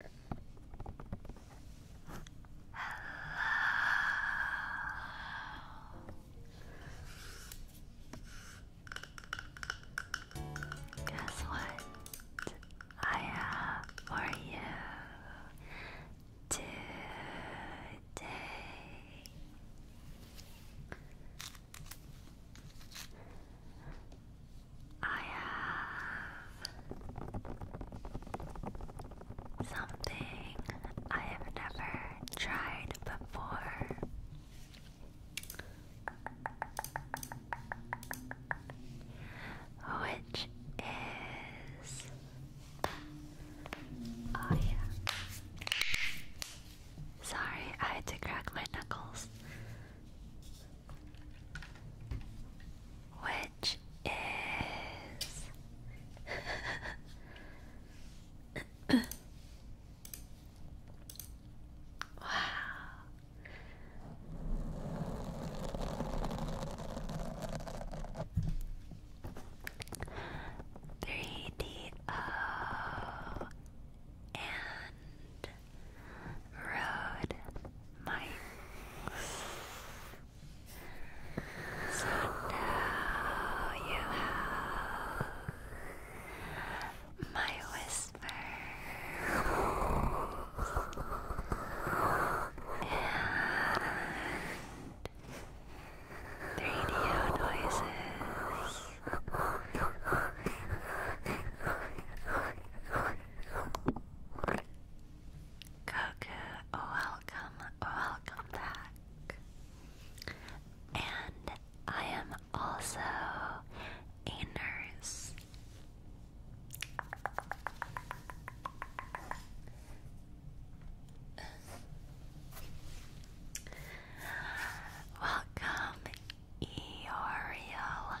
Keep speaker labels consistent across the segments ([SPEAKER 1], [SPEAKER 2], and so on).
[SPEAKER 1] Hello. Guess what? I have for you today. I have something I have never tried before. Which is oh yeah. Sorry, I had to crack my knuckles which is wow. Three D O and road mics. So now you have my whispers
[SPEAKER 2] and radio noises.
[SPEAKER 1] Cuckoo, welcome, welcome back. And I am also a nurse. welcome, Eoriel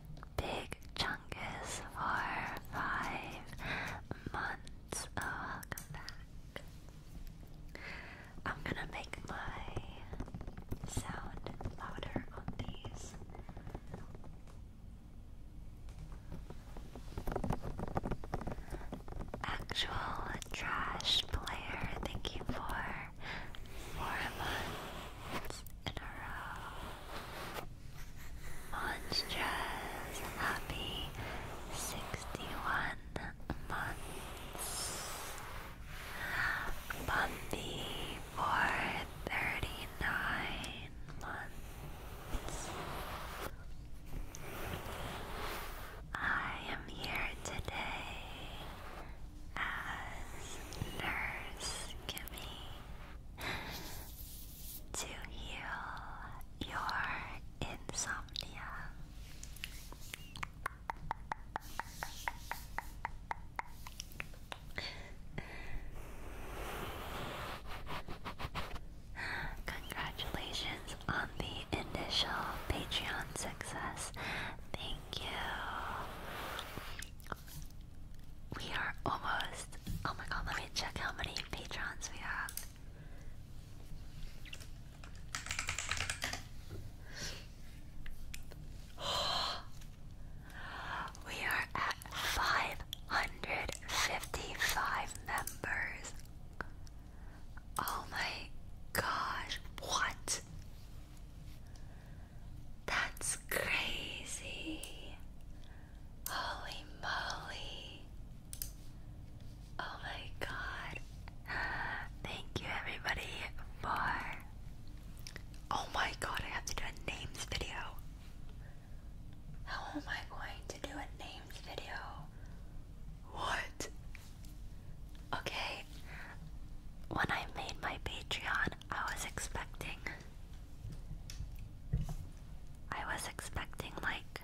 [SPEAKER 1] Big Chungus for five months. Oh, welcome back. I'm gonna make my sound louder on these. Actual trash player, thank you for four months. Uh, monstrous happy 61 months. Bumpy for months. I am here today as Nurse Kimmy to heal your insomnia. Congratulations on the initial Patreon success. Thank you. We are almost. Oh my god, let me check how many patrons we have. we are at 555 members. Oh my gosh, what? That's crazy. Holy moly. Oh my god. Thank you everybody for Oh my god, I have to do a names video. How am I going to do a names video? What? Okay. When I made my Patreon, I was expecting I was expecting like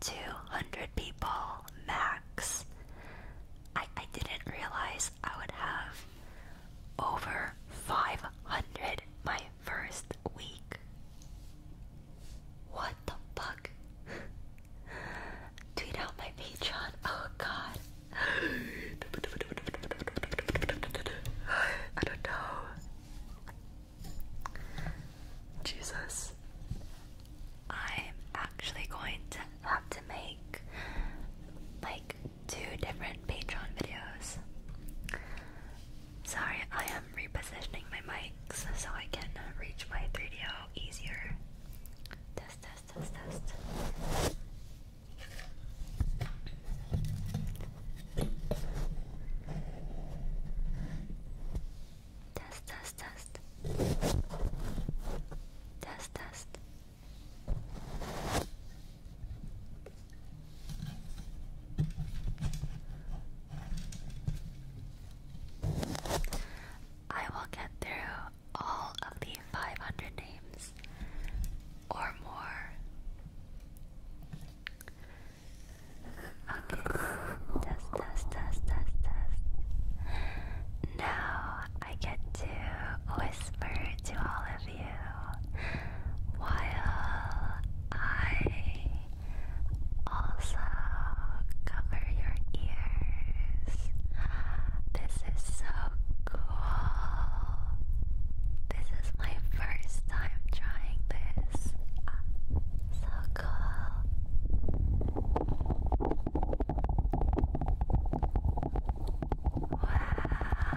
[SPEAKER 1] 200 people max. I, I didn't realize I would have over 500 my first week. What the fuck? Tweet out my Patreon. Oh god. I don't know. Jesus. I'm actually going to have to make like two different Patreon videos. Sorry, I am repositioning my mics so I can reach my 3DO easier. Test, test, test, test. Test, test, test. Test, test. I will get through all of the 500 names or more now I get to whisper to all of you while I also cover your ears. This is so cool. This is my first time trying this. Ah, so cool. Wow.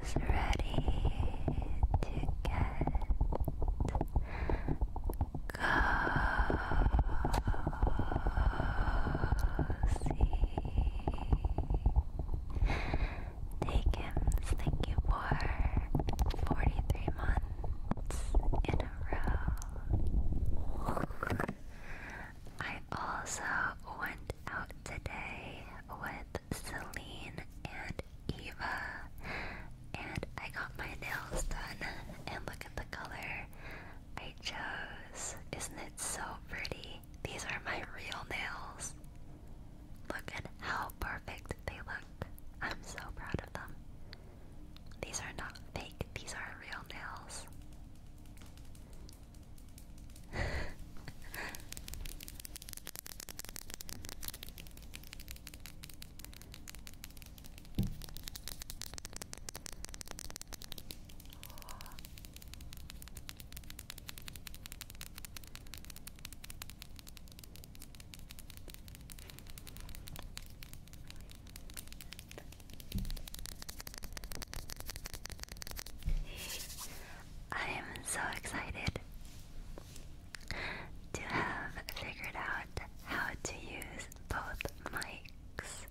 [SPEAKER 1] Who's ready to get Cozy. Takem's, thank you for 43 months in a row. I also went out today with Celine and Eva, and I got my nails done. And look at the color I chose. Isn't it so pretty? these are my real nails. Look at how perfect they look. I'm so proud of them. These are not fake, these are real nails. I am so excited to have figured out how to use both mics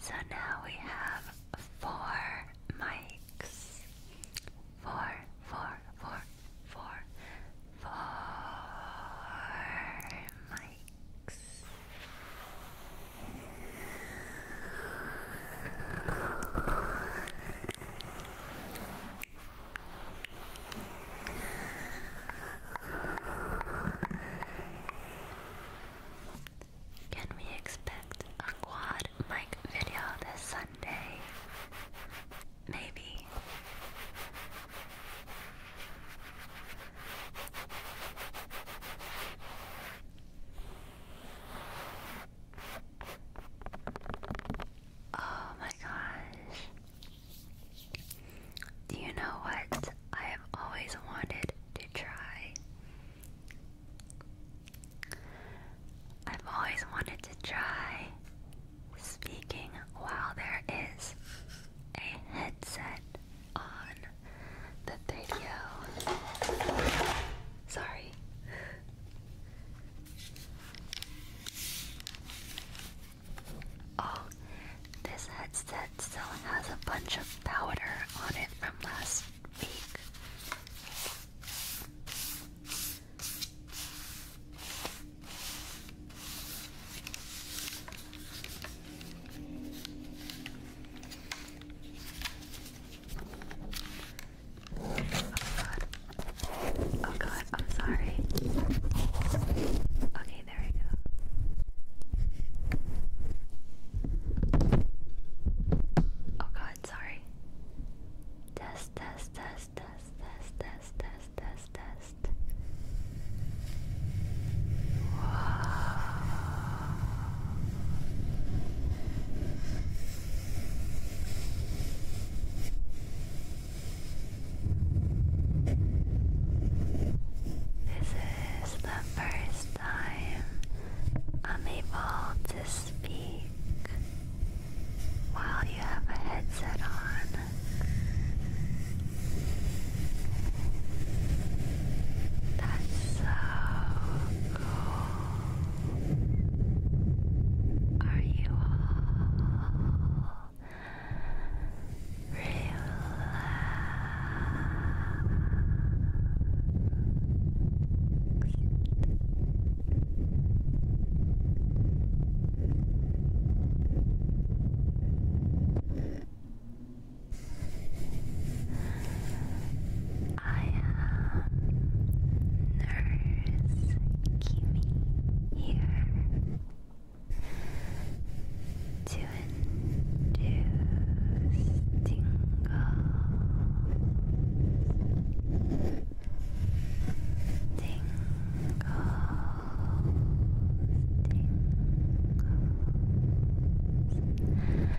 [SPEAKER 1] so now we have four mics. Four, four, four, four, four mics. Can we expect a quad mic video this Sunday? Maybe. Oh my gosh. Do you know what I have always wanted to try? I've always wanted to try speaking while there is a headset on the video. Sorry. Oh, this headset still has a bunch of powder on it from last week. Oh god. Oh god, I'm sorry. Okay, there we go. Oh god, what? Sorry. Test, test, test, test, test, test, test, test, test. Whoa. This is the first time I'm able to speak while you have a headset on. That's so cool. Are you all relaxed? relaxed. I am Nurse Kimi here to induce tingles tingles, tingles. And relax.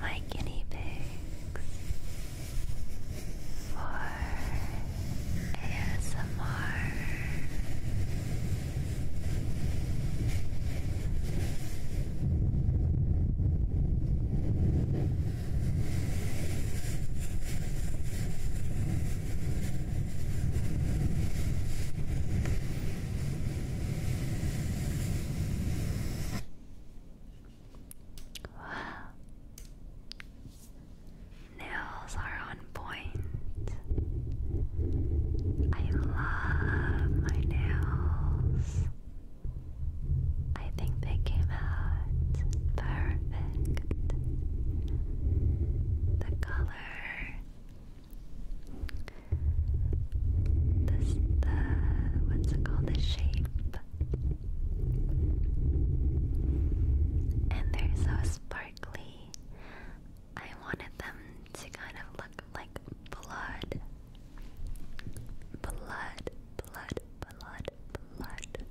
[SPEAKER 1] my guinea pigs for ASMR. Nails are on point. I love my nails. I think they came out perfect. The color, this, the what's it called? The shape and they're so sparkly. I wanted them to kind of look like blood. Blood, blood, blood, blood.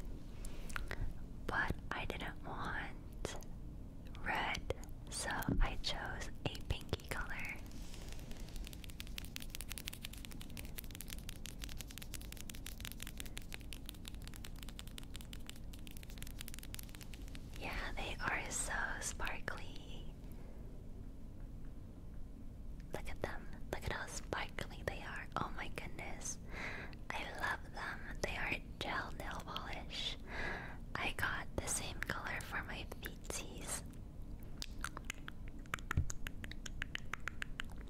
[SPEAKER 1] But I didn't want red, so I chose a pinky color. Yeah, they are so sparkly. Look at them. Look at how sparkly they are. Oh my goodness. I love them. They are gel nail polish. I got the same color for my feetsies.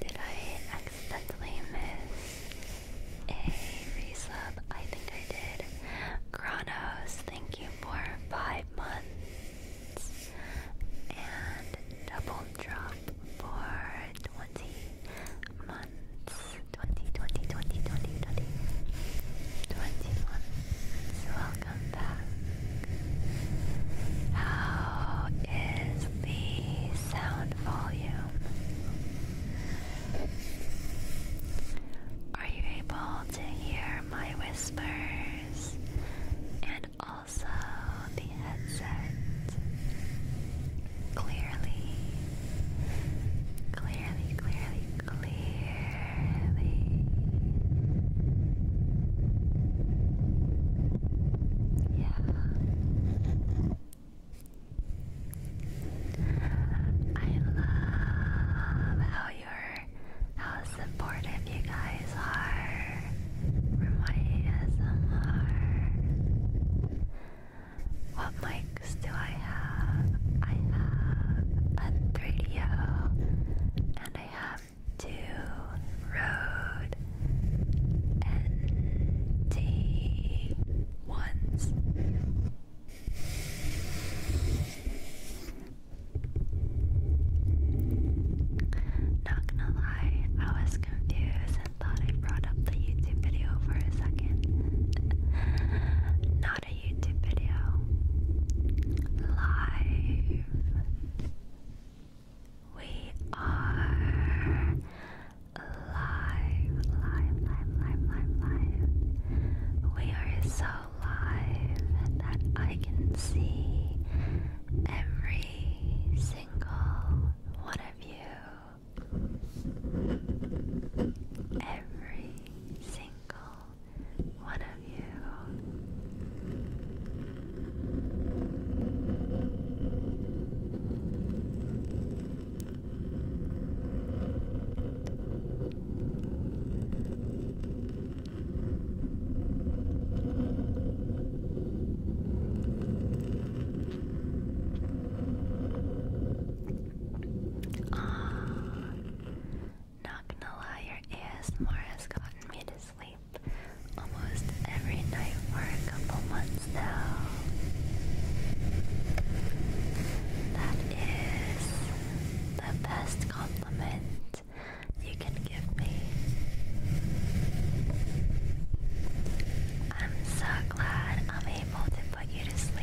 [SPEAKER 1] Did I accidentally miss a resub? I think I did. Kronos, thank you for five months. And Double Drop for 20 months. 20, months. Welcome back. How is the sound volume? Are you able to hear my whispers and also the headset clearly? Clearly, clearly, clearly. Yeah. I love how you're how supportive you guys are for my ASMR. What mics do I have? I have a 3 and I have to road NT ones. Not gonna lie, I was confused and thought I brought up the YouTube video for a second. Not a YouTube video. Live. We are alive, live, live, live, live, We are so live that I can see every single one of you. Every single one of you. Ah, not gonna lie, your ASMR has gotten me to almost every night for a couple months now. That is the best compliment you can give me. I'm so glad I'm able to put you to sleep.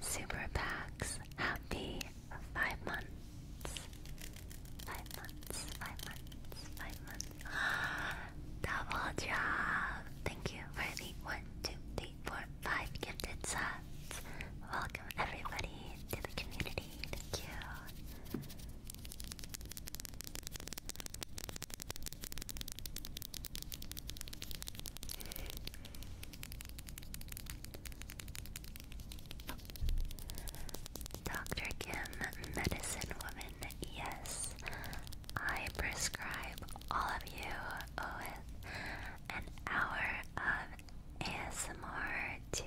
[SPEAKER 1] Super Packs, happy five months. Five months, five months, five months. Double job. Thank you for the one, two, three, four, five gifted subs. Welcome everybody to the community. Thank you. Dr. Kim, medicine woman, yes. I prescribe all of you oh, an hour of ASMR to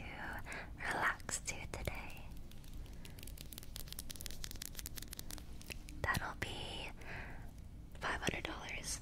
[SPEAKER 1] relax to today. That'll be five hundred dollars.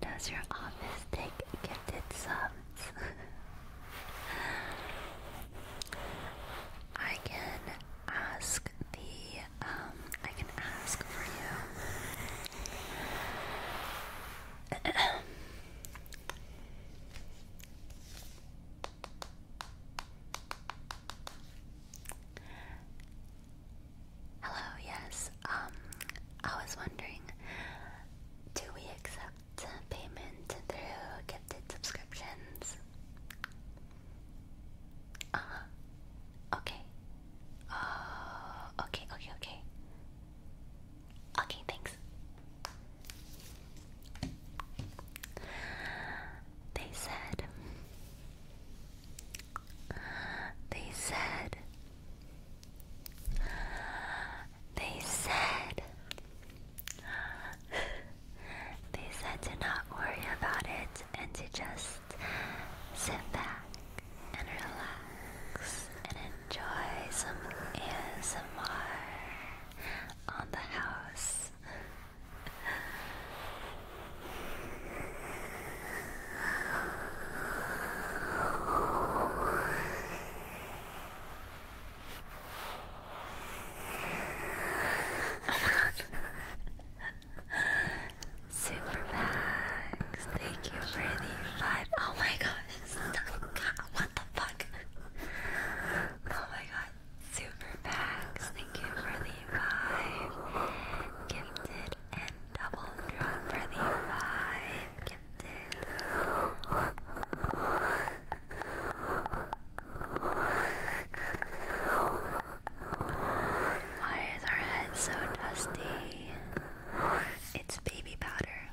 [SPEAKER 1] Does your office take gifted subs? I can ask the um I can ask for you. Hello, yes. Um, I was wondering, do we accept payment through gifted subscriptions? Uh Okay. Uh, okay, okay, okay. Okay, thanks. They said, they said, they said, they said to not worry about it and to just sit back and relax and enjoy some ASMR on the house this. Super Max, thank you for the five. Oh my gosh, what the fuck? Oh my god, Super Packs, thank you for the five. Gifted and double drop for the five. Why is our head so dusty? It's baby powder.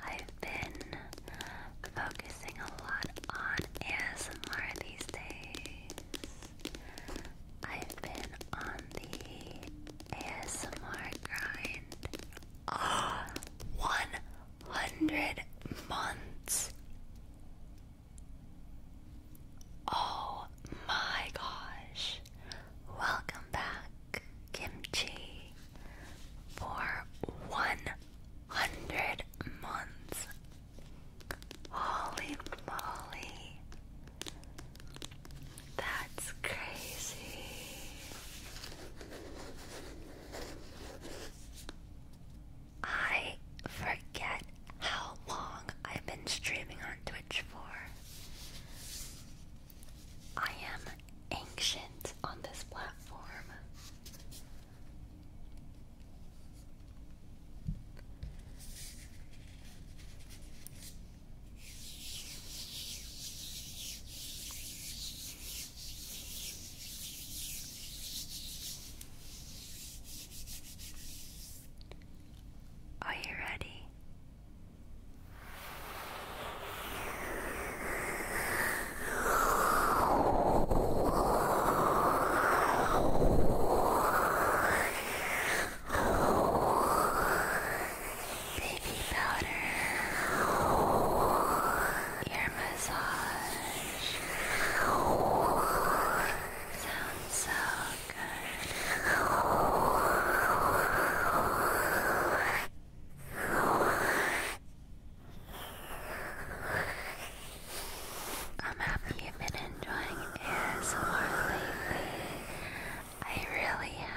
[SPEAKER 1] I've been focusing a lot on ASMR these days. I've been on the ASMR grind. Ah, 100 months. Oh my gosh. Welcome back kimchi for 100 months. Holy moly. That's crazy. I forget how long I've been streaming on Twitch for. I am ancient on this platform. Are you ready? Baby powder, ear massage sounds so good. I'm happy you've been enjoying ASMR I really have.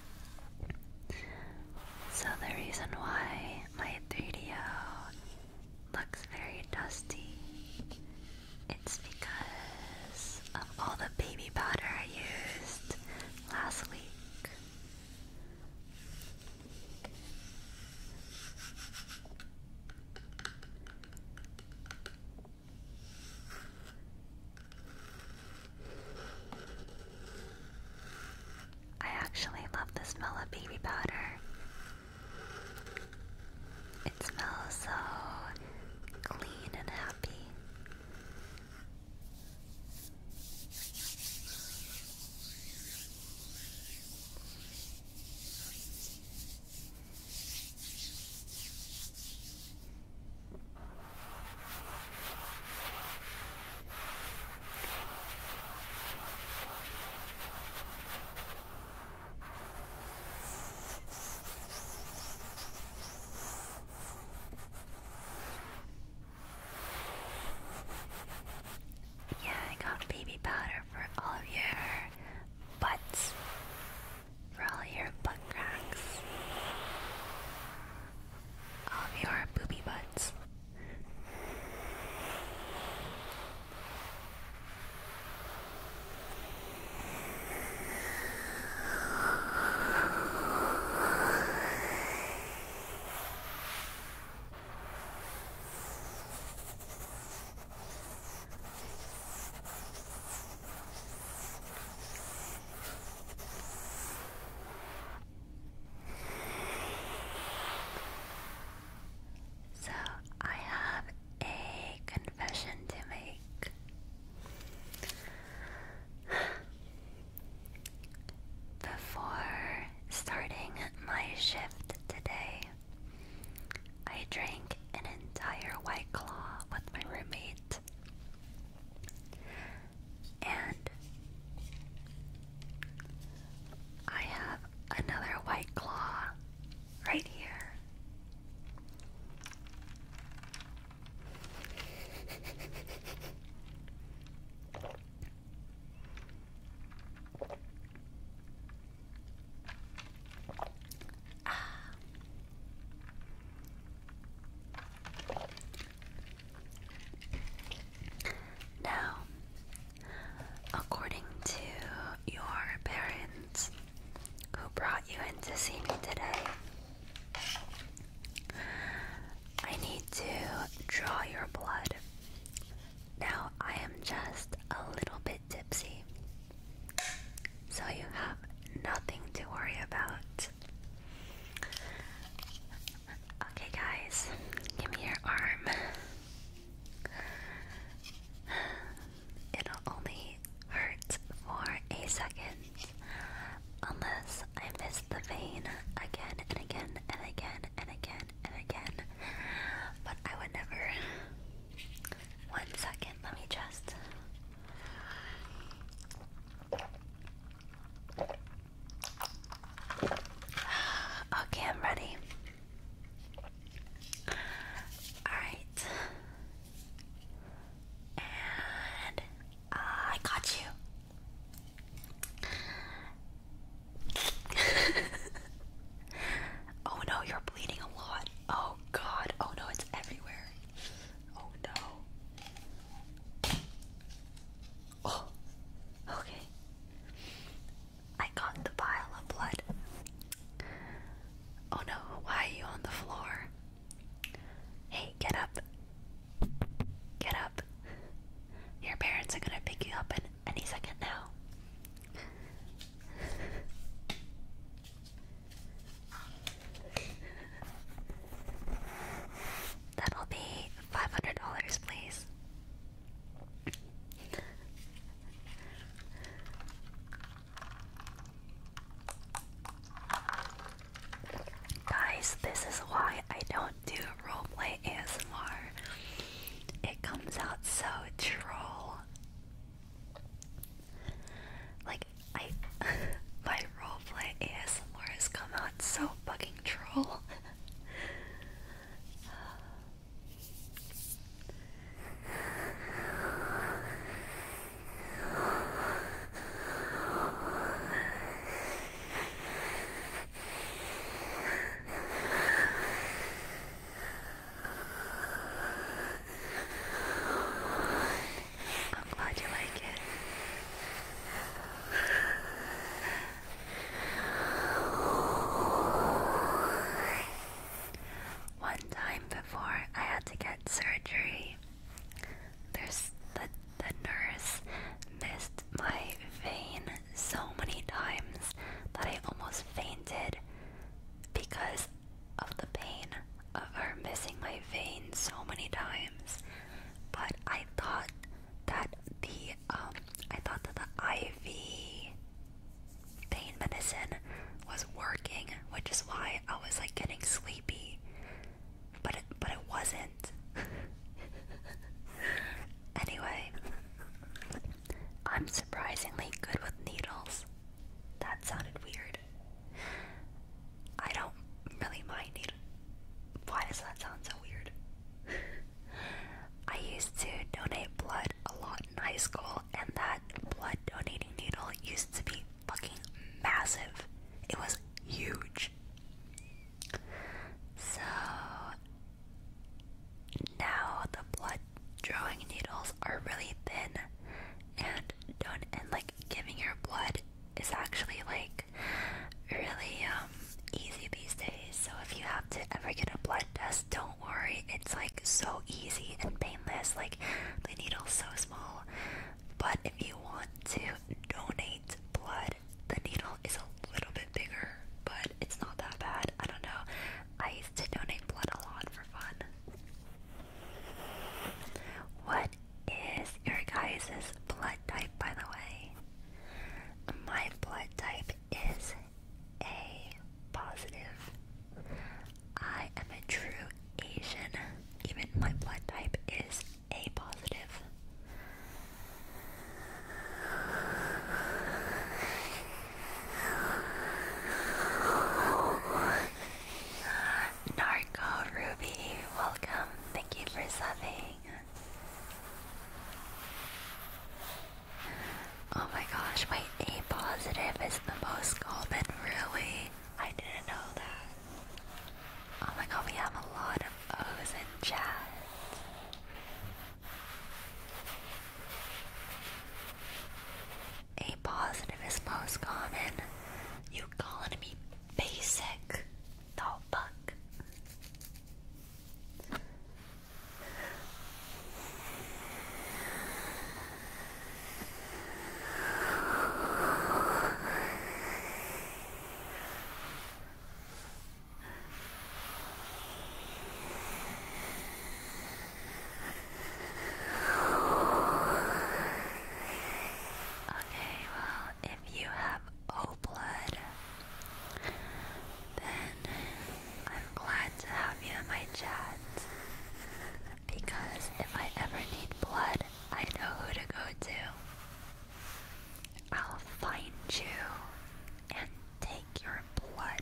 [SPEAKER 1] So, the reason why my 3 d looks very dusty, it's because of all the baby powder I used last week. I actually love the smell of baby powder. It smells so clean and happy. Yeah, I got baby powder for all of your butts, for all your butt cracks all um, of your booby butts. So, I have a confession to make. Before starting my shift today, I drank an entire white claw with my roommate. And I have another white claw right here. ah. Now, according to your parents who brought you in to see me today, I need to draw your blood. Now, I am just a little bit tipsy, so you have nothing to worry about. Okay, guys, give me your arm. It'll only hurt for a second unless I miss the vein again and again and again and again and again. But I would never. One second, let me just. Okay, I'm ready. Alright. And uh, I got you. oh no, you're bleeding a lot. Oh god. Oh no, it's everywhere. Oh no. Oh, okay. I got the pile of blood. Oh no, why are you on the floor? Hey, get up. Get up. Your parents are gonna pick you up in any second now. That'll be five hundred dollars, please. Guys, this is why I don't do roleplay ASMR. It comes out so troll. Like I my roleplay ASMR has come out so fucking troll. I'm glad you like it. One time before I had to get surgery, there's the the nurse missed my vein so many times that I almost fainted because of the pain of her missing my vein so many times. But I thought that the um I thought that the IV pain medicine was working, which is why I was like getting sleepy. But but it wasn't. anyway, I'm surprisingly good with needles. That sounded weird. I don't really mind it. Why does that sound so weird? I used to donate blood a lot in high school, and that blood donating needle used to be fucking massive. It was huge. So now the blood drawing needles are really thin, and don't and like giving your blood is actually like really um, easy these days. So if you have to ever get a blood test, don't worry. It's like so easy and painless. Like the needle's so small. But if you want to donate blood, the needle is a little bit bigger, but it's not that bad. I don't know. I used to donate blood a lot for fun. What is your guys' blood type, by the way? My blood type is A positive. I am a true Asian. Even my blood type is A positive. Narco Ruby, welcome. Thank you for subbing. Oh my gosh, wait, A positive is the most common, really? I didn't know that. Oh my god, we have a lot of O's in chat. A positive is most common. You calling me basic? Oh, fuck. Okay, well, if you have O blood, then I'm glad to have you in my chat. Because if I ever need blood, I know who to go to. I'll find you and take your blood.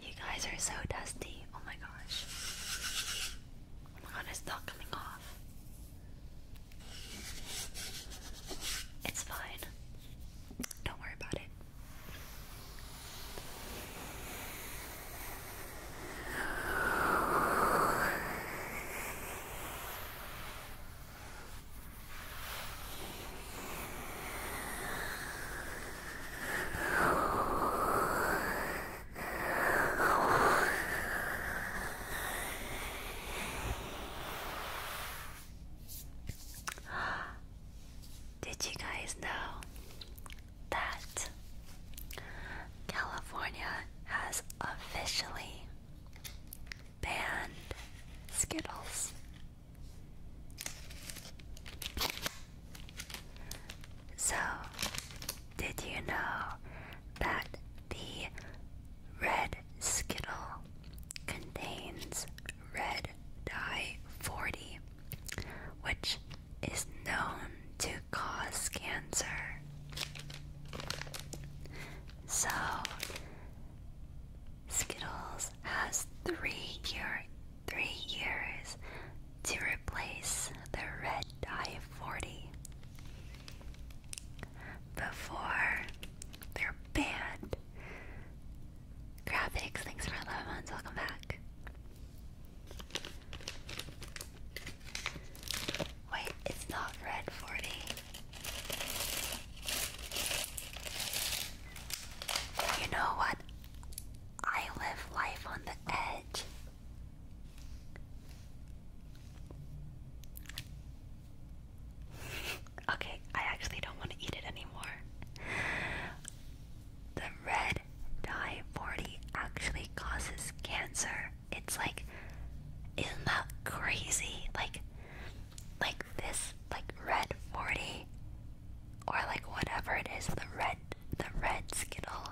[SPEAKER 1] You guys are so dusty. Oh my gosh. Oh my god, it's not coming off. It's fine. Don't worry about it. Did you guys know that California has officially banned Skittles? So, did you know that the red Skittle contains red dye 40, which is known to cause cancer? So, Skittles has three year three years to replace the red dye 40 before they're banned. Graphics, thanks for 11 months, welcome back. Wait, it's not red 40. You know what? I live life on the edge. okay, I actually don't want to eat it anymore. The red dye 40 actually causes cancer. It's like, isn't that crazy? Like, like this like red forty, or like whatever it is the red the red skittle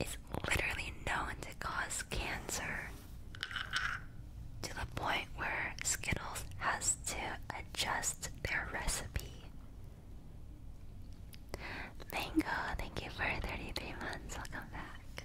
[SPEAKER 1] is literally known to cause cancer to the point where Skittles has to adjust their recipe. Mango, thank you for 33 months. Welcome back.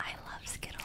[SPEAKER 1] I love Skittles.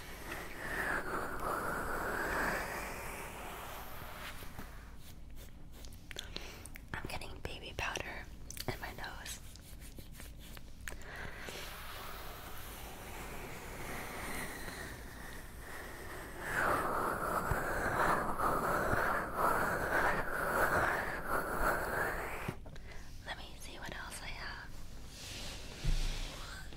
[SPEAKER 1] I'm getting baby powder in my nose. Let me see what else I have.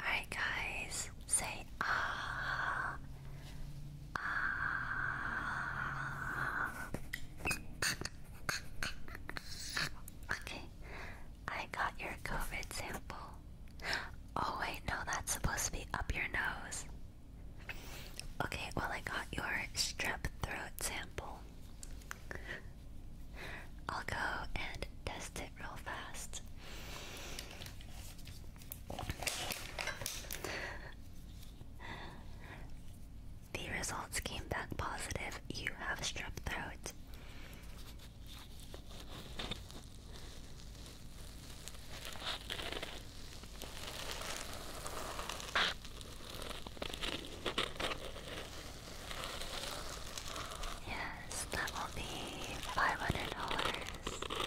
[SPEAKER 1] Alright, guys, say ah. Ah. Okay, I got your COVID sample. Oh, wait, no, that's supposed to be up your nose. Okay, well, I got your strep throat sample. I'll go and test it real fast. The results came back positive. You have strep throat. Yes, that will be $500.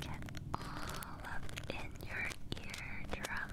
[SPEAKER 1] Get all up in your eardrums.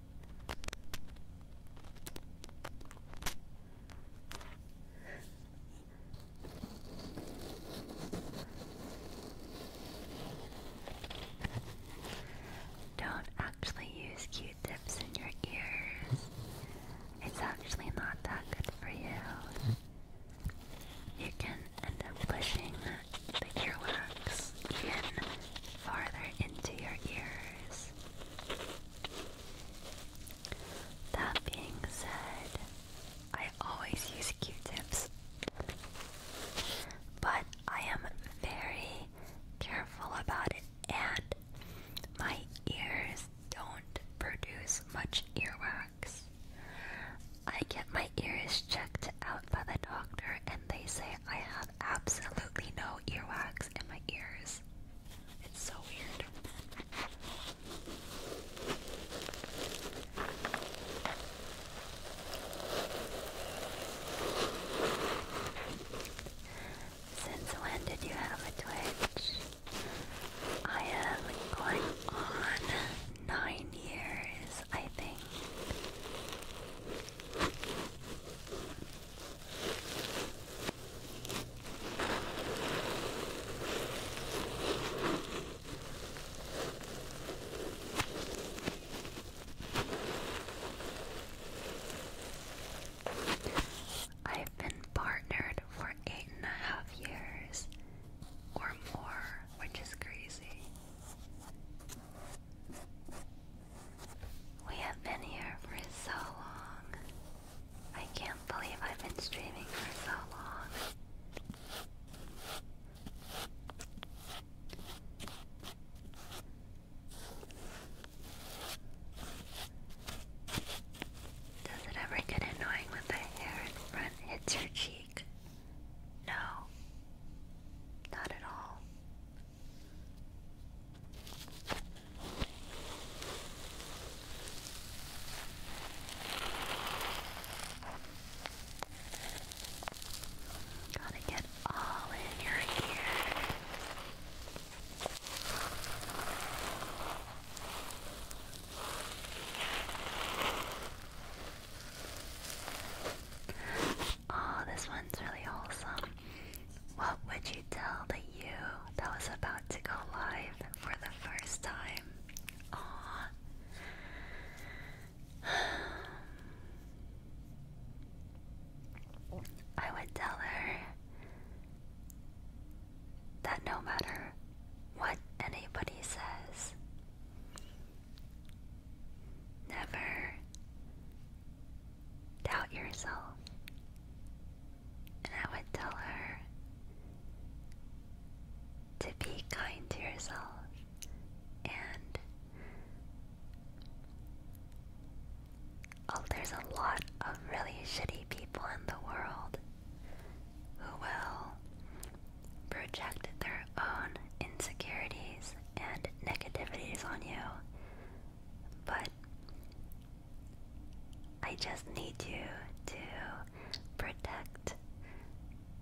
[SPEAKER 1] Don't actually use Q tips in your ears, it's actually not that good for you. You can end up pushing the earwax even farther into your ears. That being said, I always use Q-tips, but I am very careful about it, and my ears don't produce much earwax. I get my ears checked out by the doctor, and they say I have absolutely no earwax. Since when did you have a Twitch? I am going on nine years, I think. I've been partnered for eight and a half years or more, which is crazy. We have been here for so long. I can't believe I've been streaming for so long. Does it ever get annoying when the hair in front hits your cheek? No, not at all. Gotta get all in your ear. Oh, this one's really wholesome. What would you tell the you that was about to go live for the first time? I would tell her that no matter what anybody says, never doubt yourself. And I would tell her to be kind to yourself and oh, there's a lot of really shitty people in the world who will project their own insecurities and negativities on you. But I just need you to protect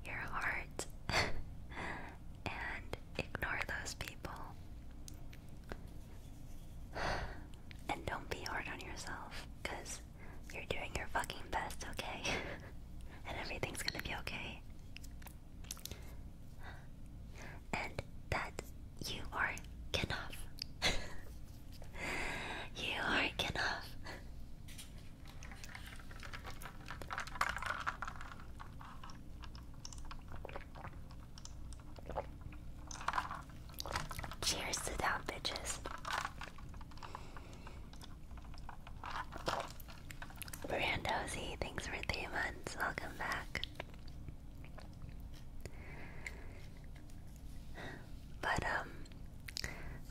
[SPEAKER 1] your heart and ignore those people. And don't be hard on yourself, because you're doing your fucking best, okay? and everything's gonna be okay and that you are enough. you are enough. Cheers to down, bitches. Randozy, thanks for three months. Welcome back. But, um,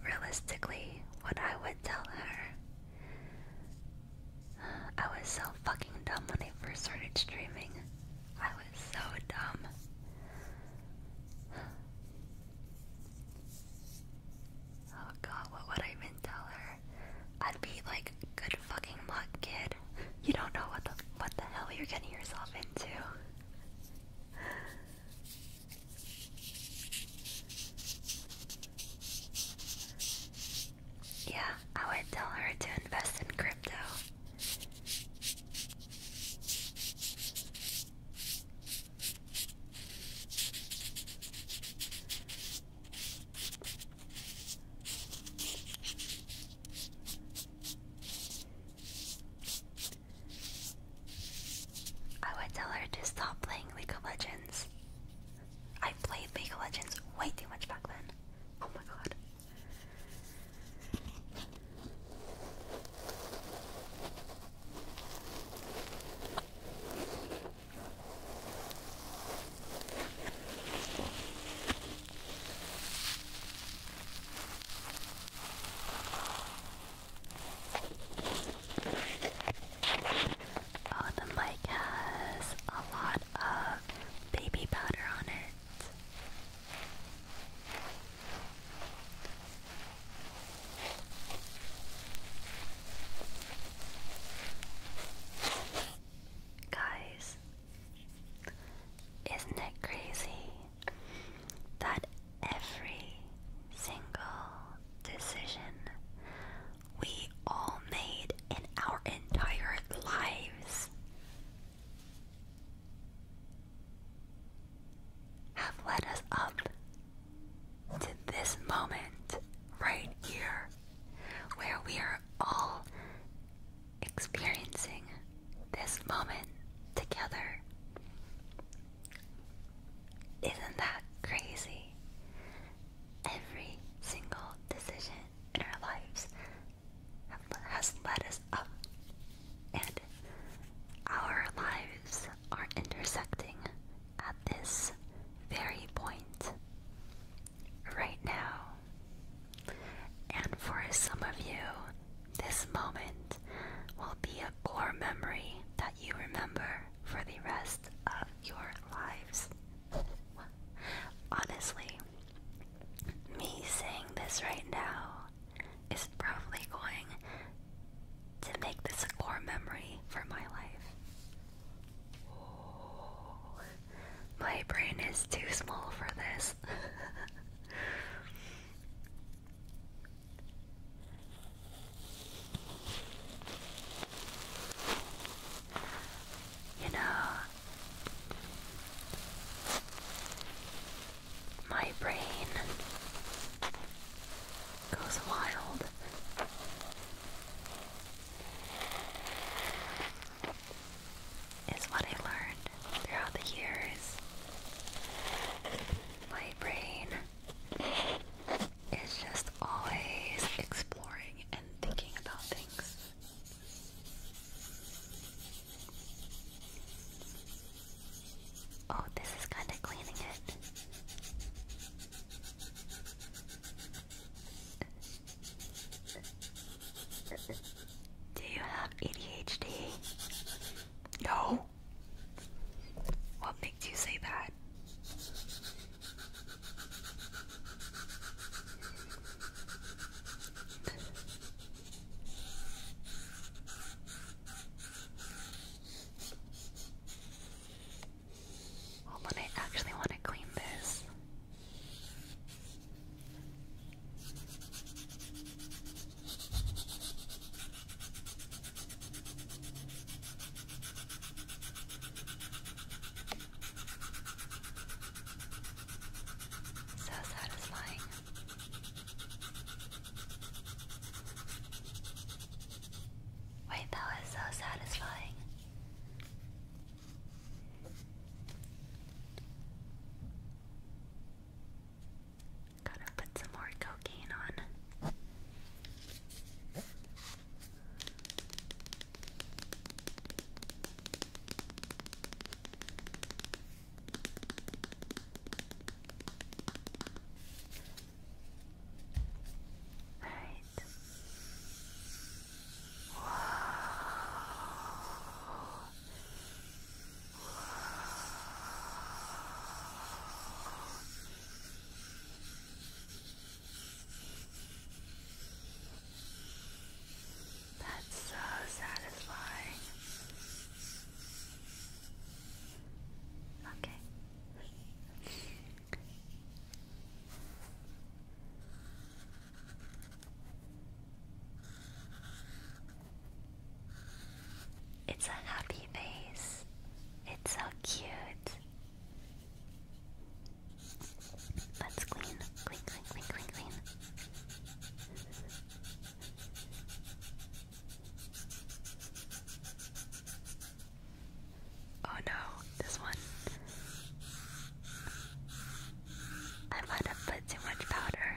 [SPEAKER 1] realistically, what I would tell her. I was so fucking dumb when they first started streaming. I was so dumb. Oh god, what would I even tell her? I'd be like, good fucking luck, kid. You don't know what the what the hell you're getting yourself into. Yeah, I would tell her to invest in crypto. I would tell her to stop playing League of Legends. I played League of Legends way too much back then. Oh my god. Oh, the mic has a lot of baby powder on it. Guys, isn't it crazy that every single decision we all made in our entire lives have led us up to this moment right here where we are all experiencing this moment together. Isn't that crazy? Every single decision in our lives has led us up, and our lives are intersecting at this very point right now. And for some of you, this moment will be a core memory that you remember for the rest of your lives. Honestly, me saying this right now is probably going to make this a core memory for my life. my brain is too small for this. You know, my brain goes wild is what I learned throughout the years. My brain is just always exploring and thinking about things. Oh, this is kind of cleaning it. Do you have ADHD? No. What makes you say that? Hold on, I actually want to clean this. So satisfying. Wait, that was so satisfying. Gotta put some more cocaine on. Right. Whoa. That's so satisfying. Okay. It's a happy face. It's so cute.
[SPEAKER 2] Let's clean, clean, clean, clean, clean,
[SPEAKER 1] Oh no, this one. I might have put too much powder.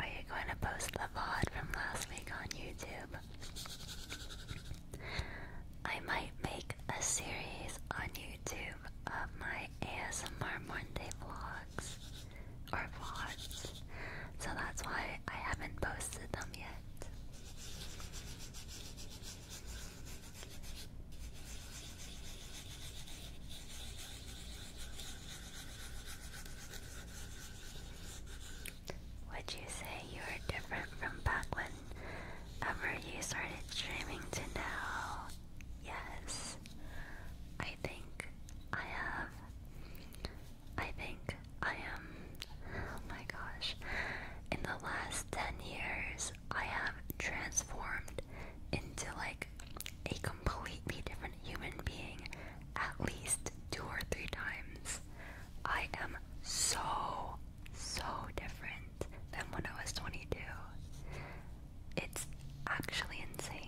[SPEAKER 1] Are you going to post the VOD from last week on YouTube? I might make a series on YouTube of my ASMR Monday vlogs or VODs, so that's why I haven't posted them yet. Would you say you are different from back Ever you started dreaming to now? Yes. I think I have. I think I am Oh my gosh. In the last 10 years, I have transformed into like a completely different human being at least two or three times. I am so, so different than when I was 22. It's actually insane.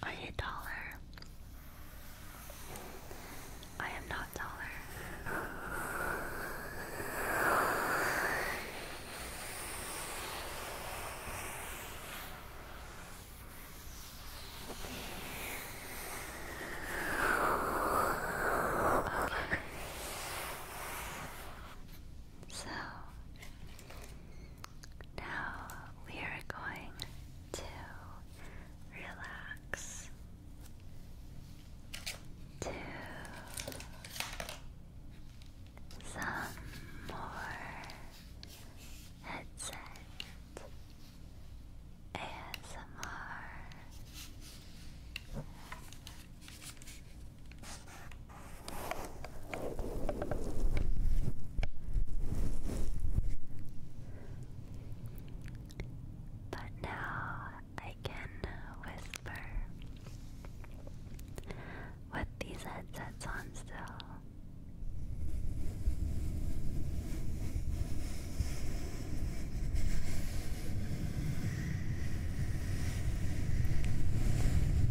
[SPEAKER 1] Are you taller? I am not taller. So now we are going to relax. Two,
[SPEAKER 2] some more headset ASMR.
[SPEAKER 1] But now I can whisper with these headsets on still.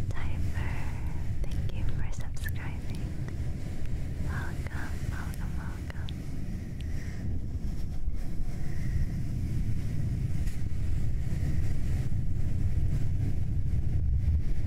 [SPEAKER 1] Typer, thank you for subscribing. Welcome, welcome, welcome.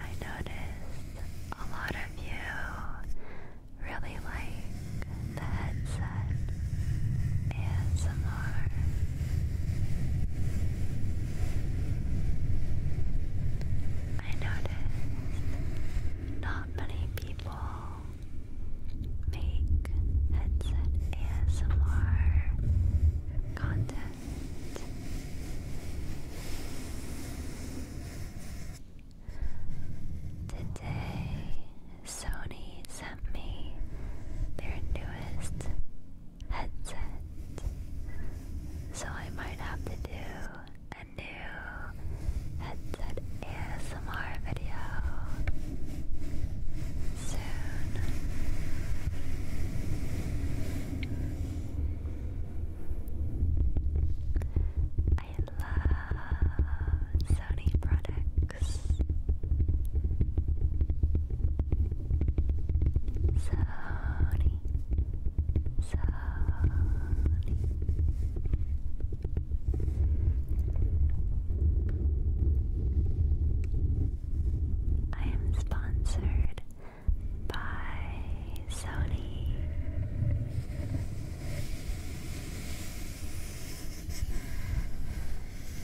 [SPEAKER 1] I noticed a lot of you really like the headset and I noticed not many people make headset ASMR content. Today, Sony sent me their newest headset, so I might have to do a new headset ASMR video soon. I love Sony products. Sony, Sony. I am sponsored by Sony.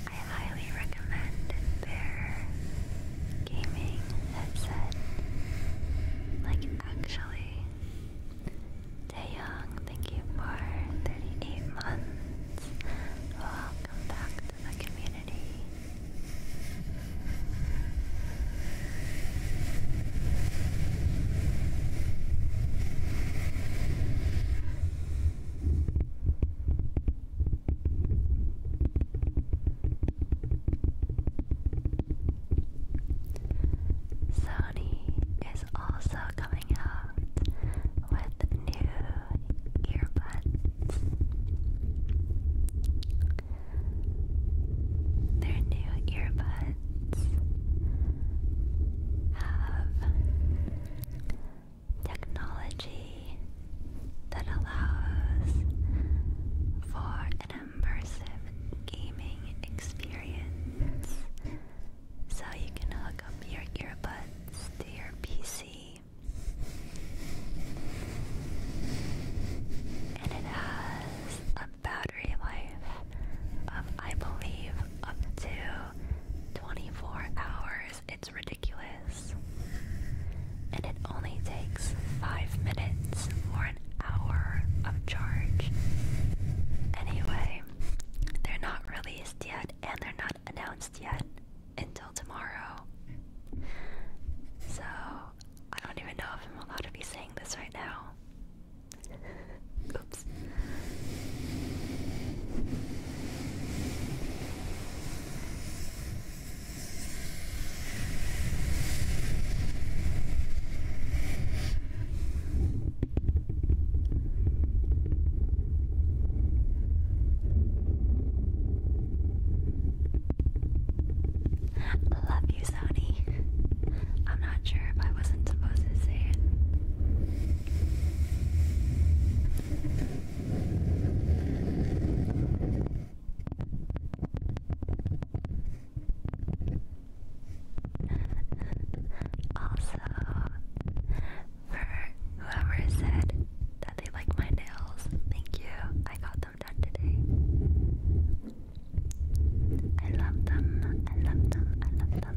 [SPEAKER 1] I highly recommend their gaming headset. Like, actually, Taeyong, thank you for 38 months. Welcome back to the community. Sony is also coming out with new earbuds. Their new earbuds have technology that allows for an immersive gaming experience. So you can hook up your earbuds to your PC and it has a battery life of, I believe, up to 24 hours. It's ridiculous. And it only takes 5 minutes or an hour of charge. Anyway, they're not released yet and they're not announced yet until tomorrow. So, I don't even know if I'm allowed to be saying this right now. Oops. Love you, Sony. I'm not sure if I wasn't supposed to say it. Also, for whoever said that they like my nails, thank you. I got them i love them, I love them, I love them.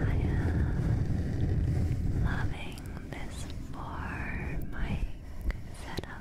[SPEAKER 1] I am loving this four mic setup.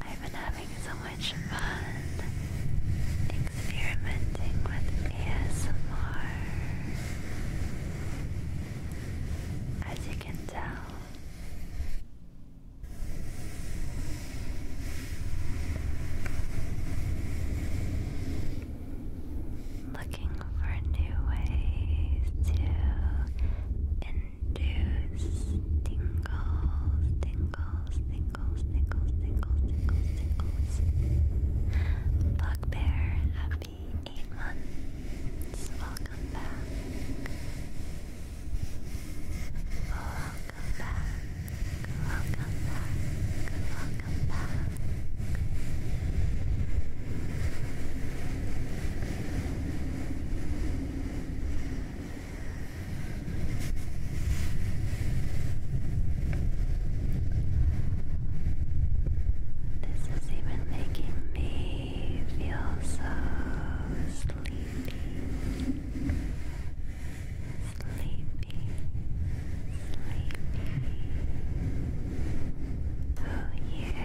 [SPEAKER 1] I've been having so much fun experimenting with ASMR. As you can tell, looking for new ways to juice tingles, tingles, tingles, tingles, tingles, tingles, tingles. Bugbear, happy eight months. Welcome back. Welcome back. Welcome back. Welcome back. This is even making me feel so sleepy. Sleepy. Sleepy. Oh, here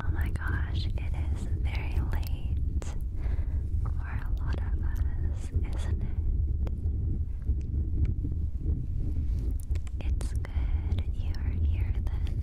[SPEAKER 1] Oh my gosh, it is very late for a lot of us, isn't it? It's good you are here then.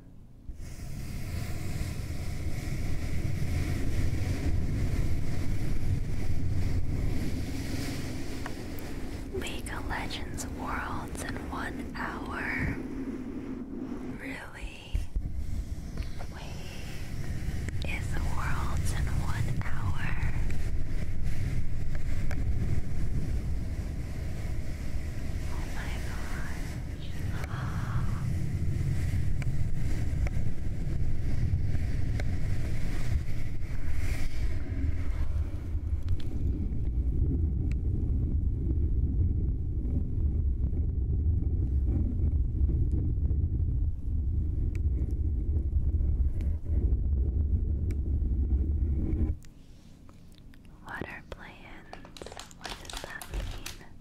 [SPEAKER 1] League of Legends Worlds in one hour. Really? Wait, is the Worlds in one hour? Oh my god. What are plans. What does that mean?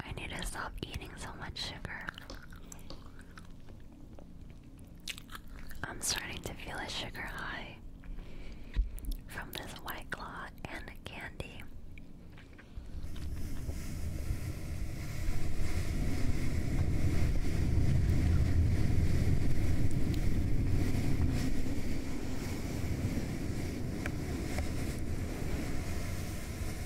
[SPEAKER 1] I need to stop eating so much sugar. I'm starting to feel a sugar high from this white claw and candy.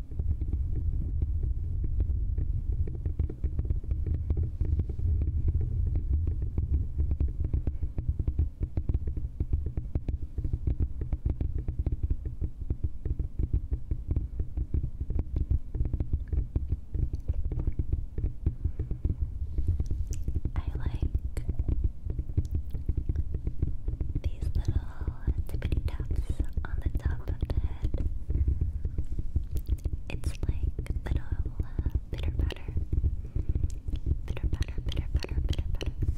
[SPEAKER 1] I like these little tippity taps on the top of the head. It's like little uh, bitter batter. Bitter batter, bitter batter, bitter batter.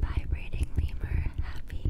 [SPEAKER 1] Vibrating lemur, happy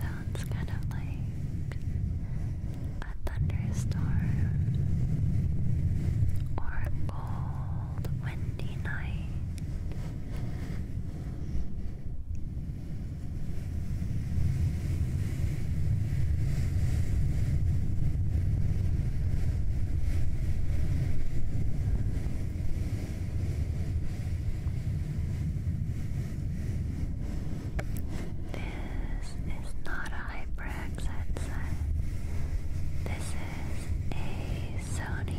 [SPEAKER 1] Sounds kind of like a thunderstorm or a cold, windy night. This is not a HyperX headset. This is a Sony.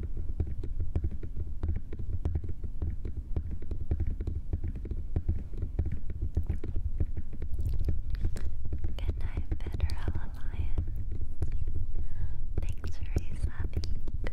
[SPEAKER 1] Good night, Federal Alliance. Thanks for resubbing. Good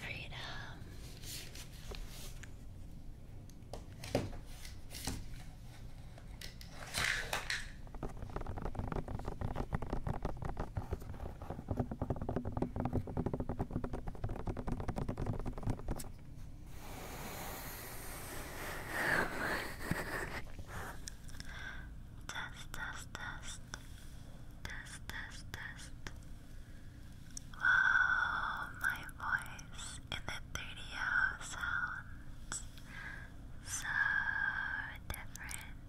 [SPEAKER 1] Freedom. Test, test, test. Test, test, test. Wow, oh, my voice in the 3 sounds so different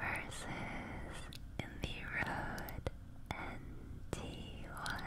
[SPEAKER 1] versus in the Rode NT1s.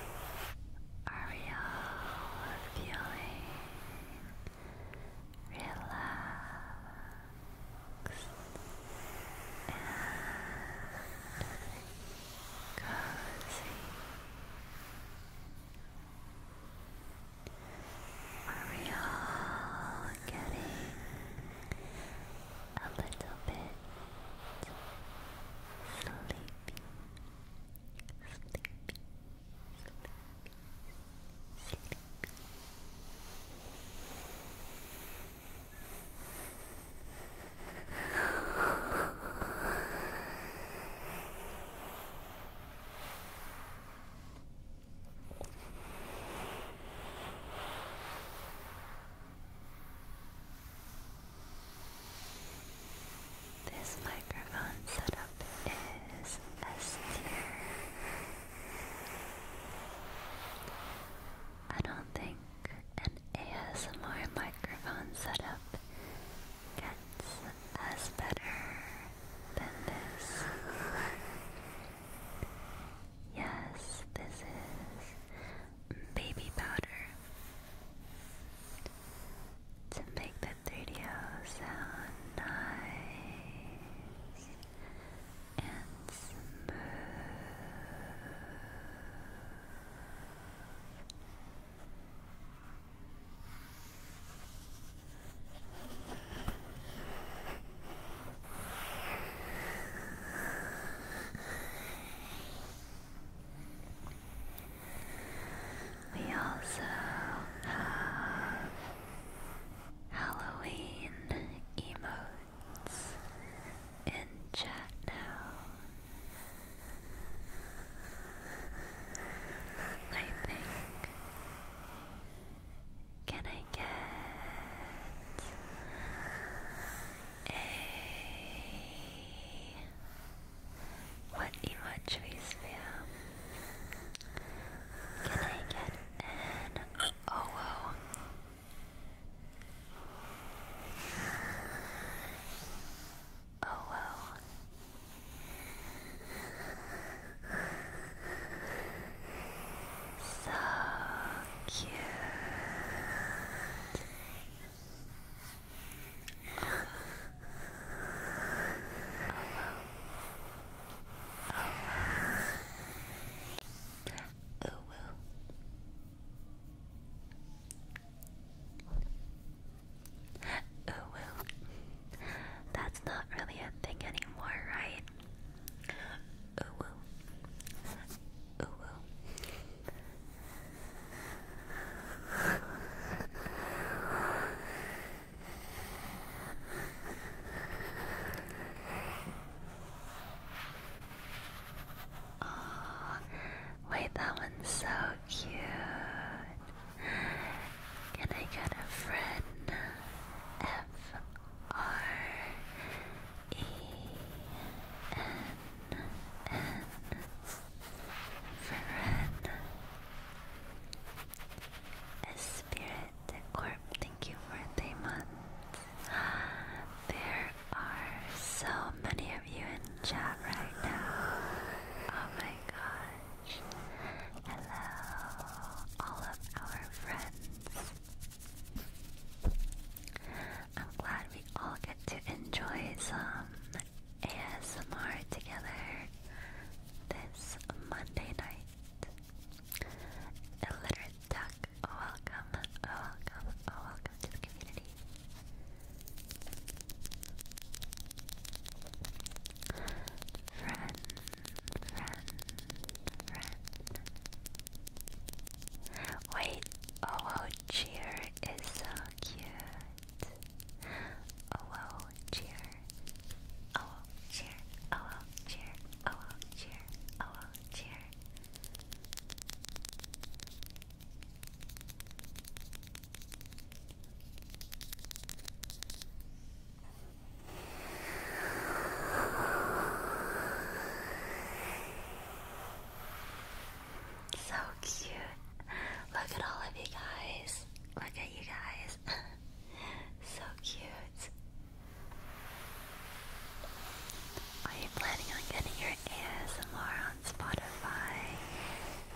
[SPEAKER 1] Are we all feeling relaxed and cozy? Are we all getting a little bit sleepy, sleepy, sleepy, this microphone setup is S tier. I don't think an ASMR microphone setup gets as better than this. Yes, this is baby powder to make the 3 sound nice and smooth. We also have Halloween emotes in chat now. I think. Can I get a. What emojis fam? Can I get So cute. Oh, well. That's not really a thing anymore, right? Oh, well. Oh, wait, that one's so cute. Can I get a friend? F R E N N Ferran. A spirit corp, thank you for the month. There are so many of you in chat right now. Oh my gosh. Hello, all of our friends. I'm glad we all get to enjoy some ASMR together this Monday night. Illiterate Duck, welcome, welcome, welcome to the community. Friend, friend, friend. Wait, oh oh cheer is so cute. Oh oh cheer. Oh oh cheer. Oh oh cheer. Oh oh cheer. Oh oh cheer. So cute. Look at all of you guys. Look at you guys. so cute. Are you planning on getting your ASMR on Spotify?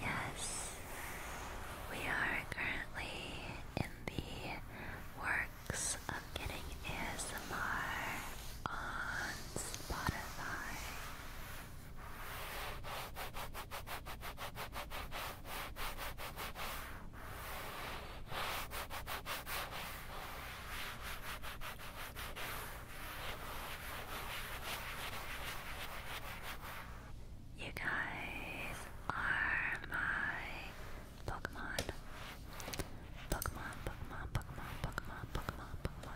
[SPEAKER 1] Yes. We are currently in the works of getting ASMR on Spotify. You guys are my Pokemon. Pokemon, Pokemon, Pokemon, Pokemon, Pokemon,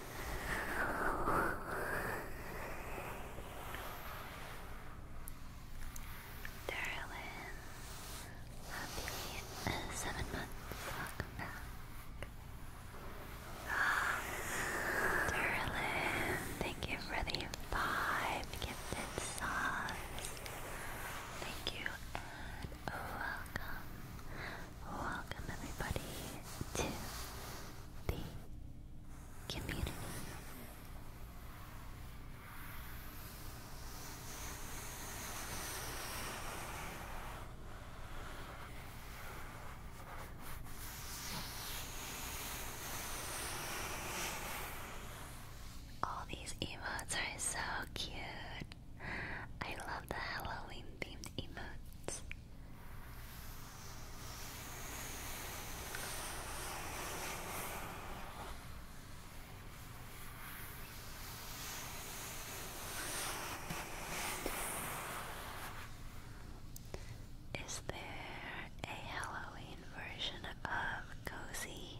[SPEAKER 1] Darlin, happy seven months. Welcome back. Darlin, thank you for the five gifted subs. Thank you and welcome. Welcome, everybody, to the community. All these emotes are so cute. I love the Halloween themed emotes. Is there a Halloween version of Cozy?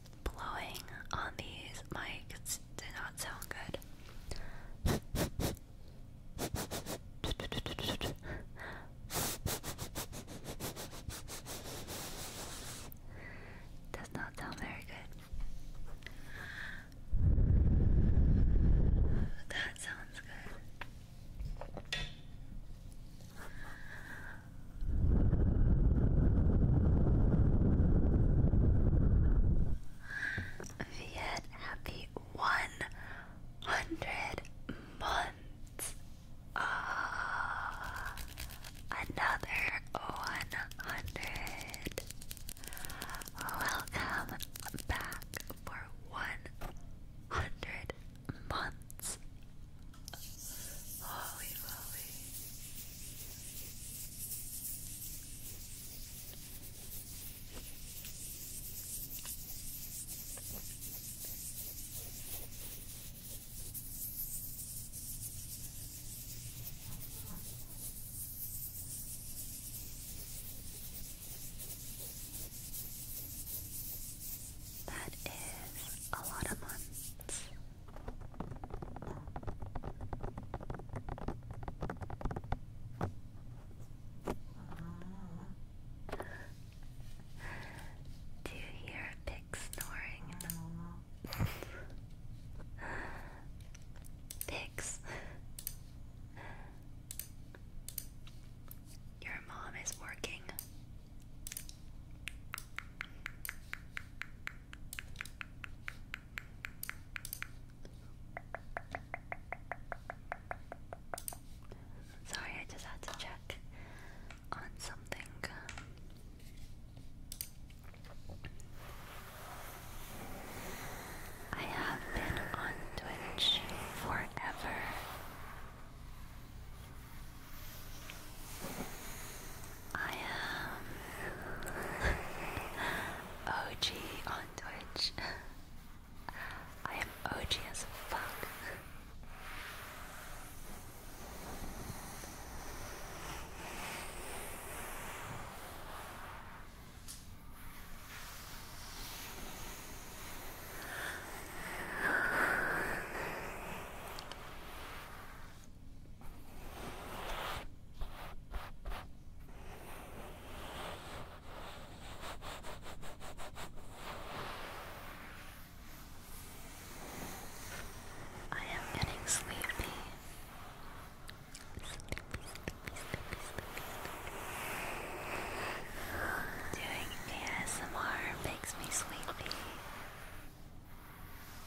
[SPEAKER 1] blowing on these mics did not sound good. Does not sound very good. That sounds good. Viet, happy 100 months. Uh, another 100. Welcome back for 100 months. Holy moly.
[SPEAKER 2] That is a lot of months. Aww. Do you hear a pig
[SPEAKER 1] snoring? Pigs. Your mom is working. Sorry, I just had to check on something. I have been on Twitch forever. I am OG on Twitch. I am OG as fuck. I am getting sleepy. Doing ASMR makes me sleepy.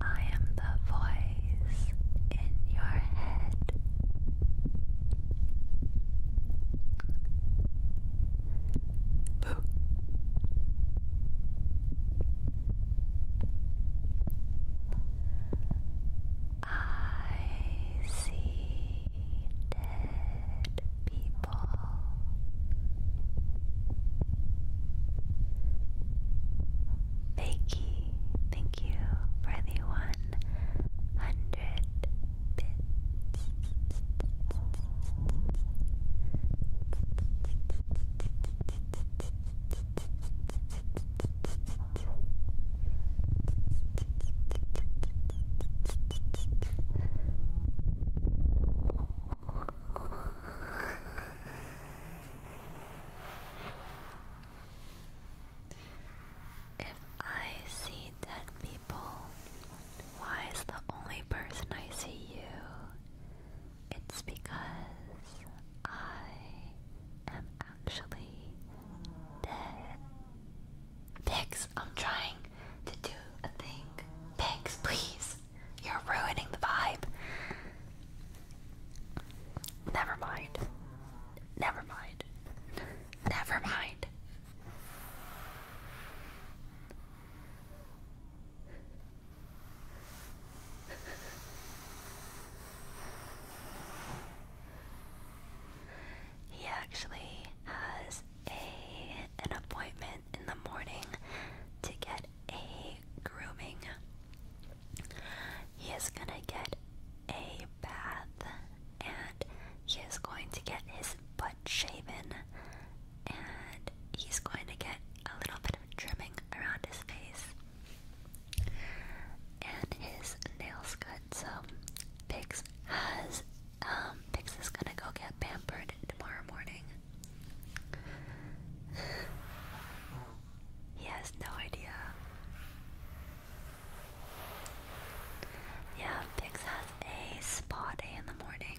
[SPEAKER 1] I am the voice in your head. Boo. I see dead people people. Becky, thank you for the 100 bits. If I see dead people, why is the only person I see you? It's because I am actually dead. Pigs, I'm trying to do a thing. Pigs, please. You're ruining the vibe. Never mind. Never mind. Never mind. He actually has a an appointment in the morning to get a grooming. He is going to get a bath and he is going to get his butt shaven and he's going to get a little bit of trimming around his face and his nails cut. So Pix has um Pix is gonna go get pampered tomorrow morning he has no idea. Yeah, Pix has a spa day in the morning.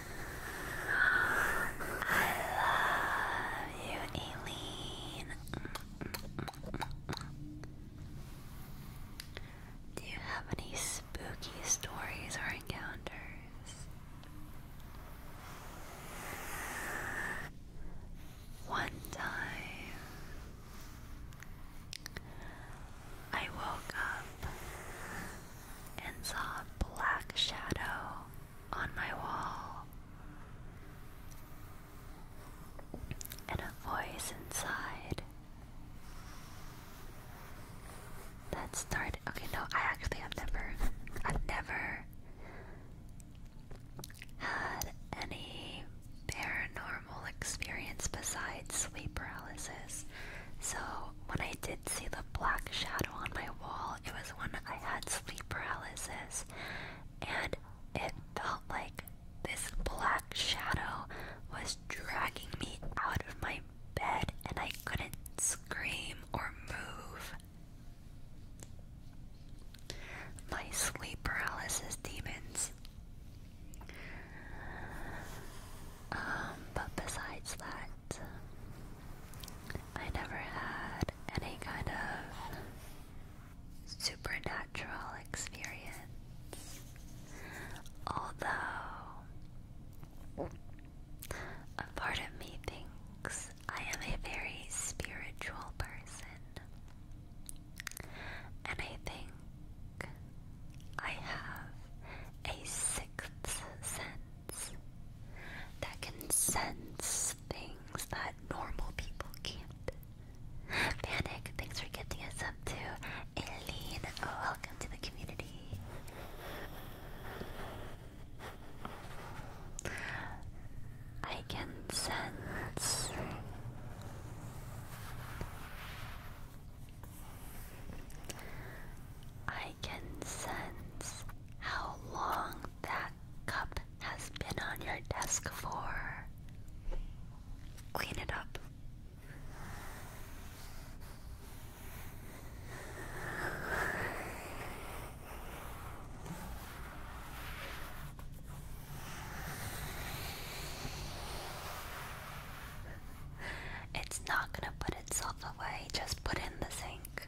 [SPEAKER 1] I love you, Aileen. Do you have any spooky stories or encounters? One time, I woke up and saw a black shadow on my wall, and a voice inside that started. Okay, no, I actually have never, I've never had any paranormal experience besides sleep paralysis. So when I did see the black shadow on my wall, it was when I had sleep paralysis, and it felt like this black shadow was dragging me out of my bed, and I couldn't scream or move. My sleep paralysis demons. Um, but besides that, I never had any kind of supernatural experience. Although, a part of me thinks I am a very spiritual person, and I think I have a sixth sense that can sense things that normal people can't. Panic, thanks for getting us up to Aileen. Oh, welcome to the community. I can sense. I can sense how long that cup has been on your desk for. Clean it up. It's not going to put itself away, just put in the sink.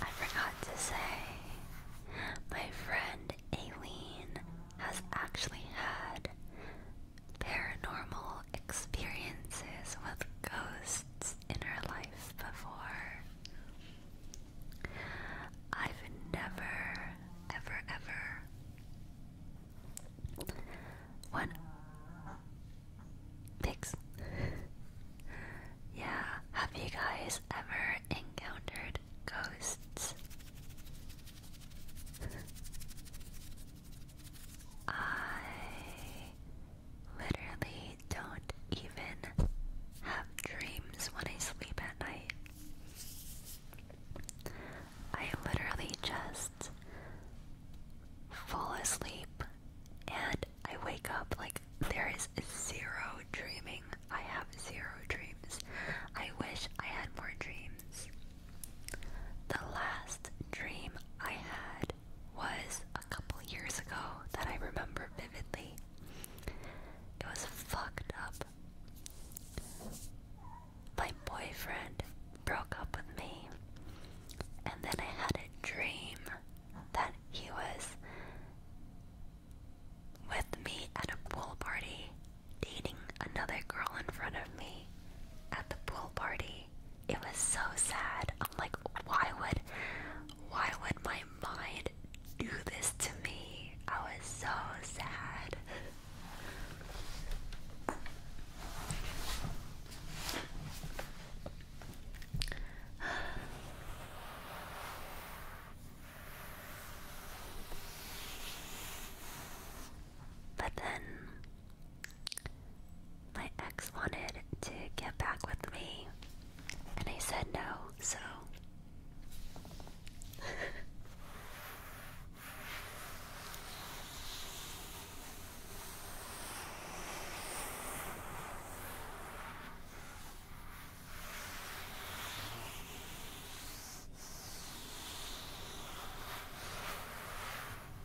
[SPEAKER 1] I forgot to say, my friend Aileen has actually had paranormal experiences with ghosts in her life before. I've never, ever, ever one. Pigs. yeah, have you guys ever encountered ghosts? I literally don't even have dreams when I sleep at night. I literally just fall asleep and I wake up like there is zero dreaming. I have zero dreams. I wish I had more dreams. The last dream I had was a couple years ago that I remember vividly. It was fucked up. My boyfriend broke up with me. And then I had a dream that he was with me at a pool party, dating another girl in front of me at the pool party. It was so sad. I'm like, why would why would my mind do this to me? I was so sad. But then my ex wanted to get back with me, and I said no, so.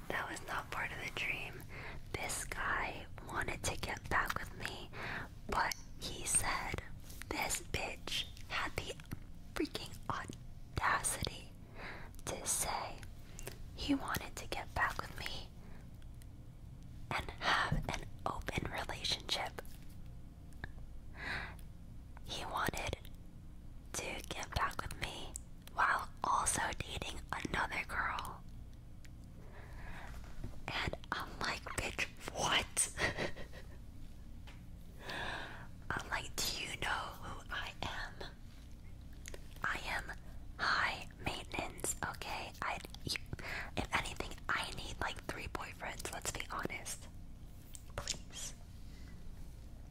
[SPEAKER 1] That was not part of the dream. This guy wanted to get back with me, but he said this bitch had the freaking audacity to say he wanted to get back with me, and have an open relationship. He wanted to get back with me while also dating another girl. And I'm like, bitch, what? I'm like, do you know who I am? I am high maintenance, okay? I if anything, I need like three boyfriends, let's be honest. Please.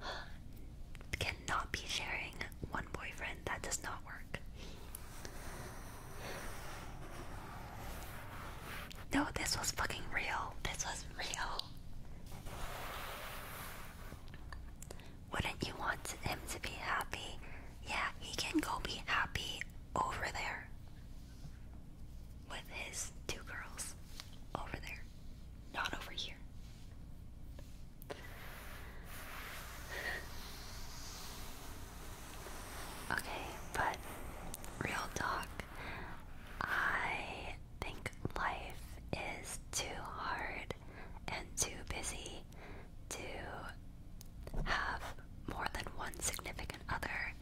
[SPEAKER 1] Cannot be sharing one boyfriend. That does not work. No, this was fucking real. This was real. Wouldn't you want him to be happy? Yeah, he can go be happy over there with his two girls. Over there, not over here. Okay, but real talk, I think life is too hard and too busy to have more than one significant other.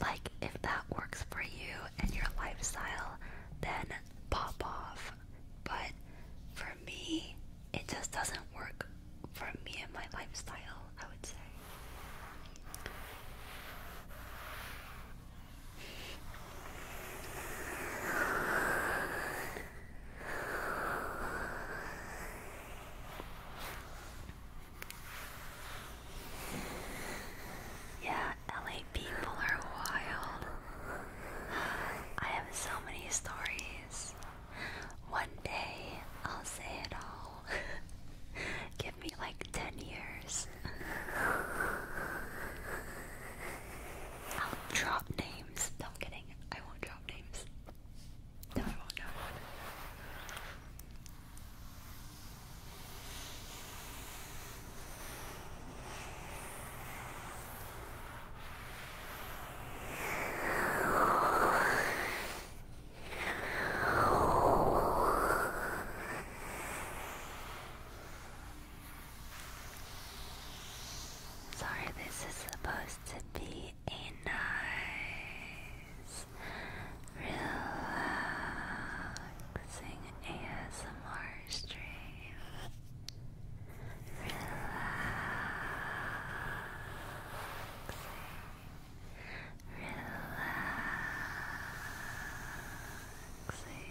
[SPEAKER 1] Like, if that works for you and your lifestyle, then pop off. But for me, it just doesn't work for me and my lifestyle, I would say. Yeah, LA people are wild. I have so many stories. One day I'll say it all. Give me like 10 years. I'll drop names. No, kidding. I won't drop names. No, I won't. No, this is supposed to be a nice, relaxing ASMR stream. Relaxing, relaxing, relaxing.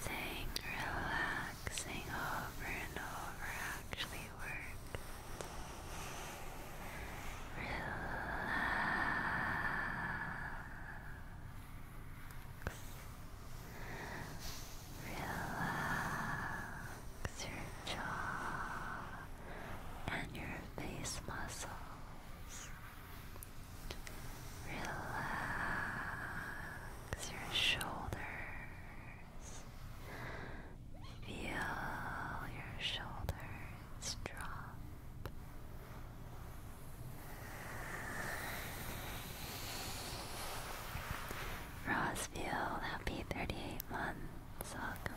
[SPEAKER 1] saying relaxing over and over actually works. Relax. Relax your jaw and your face muscles. Relax your shoulders. Feel your shoulders drop. Rosfield, happy 38 months. Welcome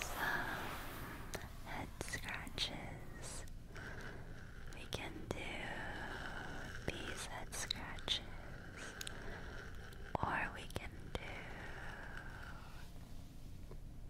[SPEAKER 1] some head scratches. We can do these head scratches, or we can do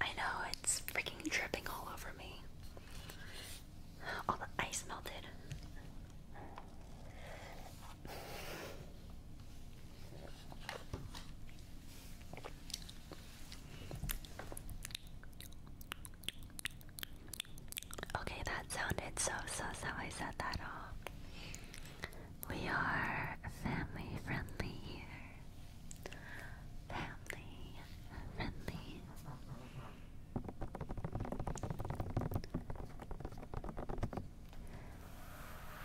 [SPEAKER 1] I know it's freaking dripping all over me. All the ice melted. Okay, that sounded so sus how I said that off. We are family friendly Family friendly.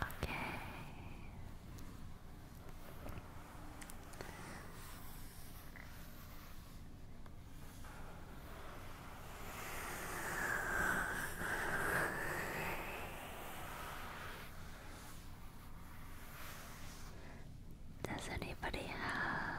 [SPEAKER 1] Okay. Does anybody have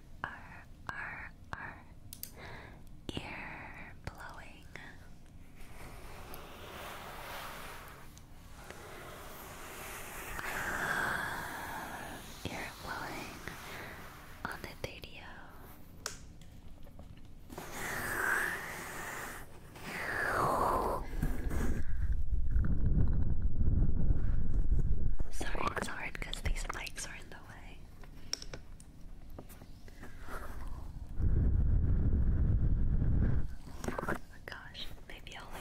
[SPEAKER 2] R R R ear blowing. I love ear blowing on the video. Sorry, sorry, because these legs are in the way.
[SPEAKER 1] Oh my gosh, maybe I'll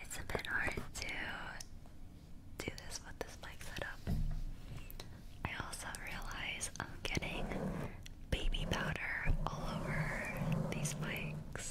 [SPEAKER 1] it's a bit hard to do this with this mic setup. I also realize I'm getting baby powder all over these mics.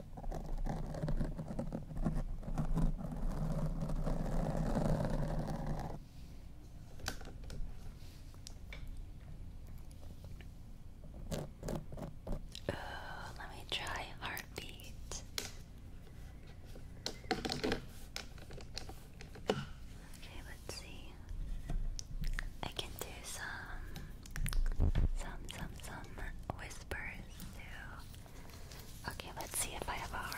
[SPEAKER 1] let me try heartbeat. Okay, let's see. I can do some some, some, some whispers Okay, let's see if I have a heart.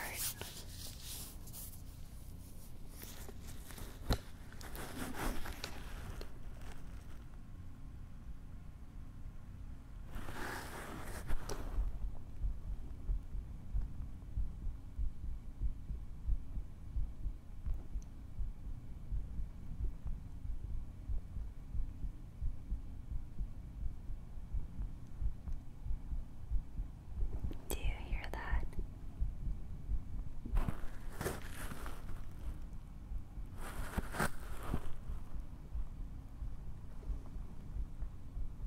[SPEAKER 1] Do you hear that?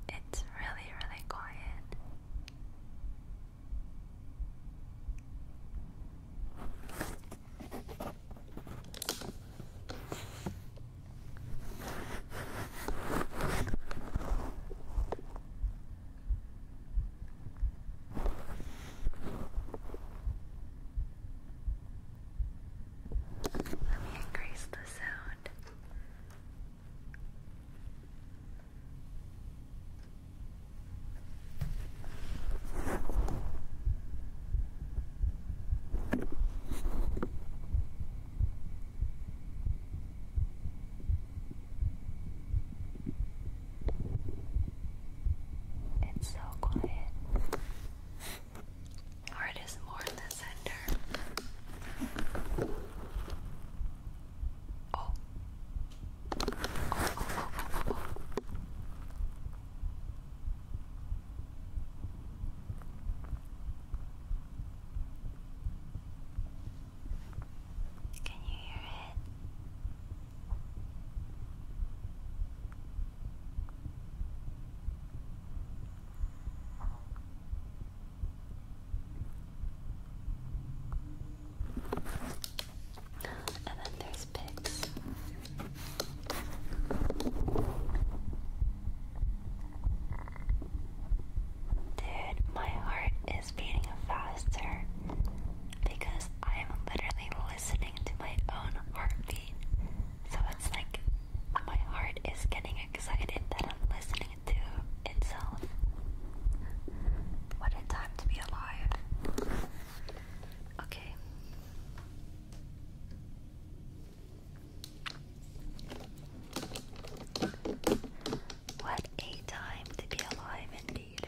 [SPEAKER 1] It's really, really quiet. Let me increase the sound. It's so quiet. Or it is more in the center. Oh. oh, oh, oh can you hear it? And then there's pigs. Dude, my heart is beating faster because I'm literally listening to my own heartbeat. So it's like my heart is getting excited that I'm listening to itself. What a time to be alive. Okay. What a time to be alive indeed.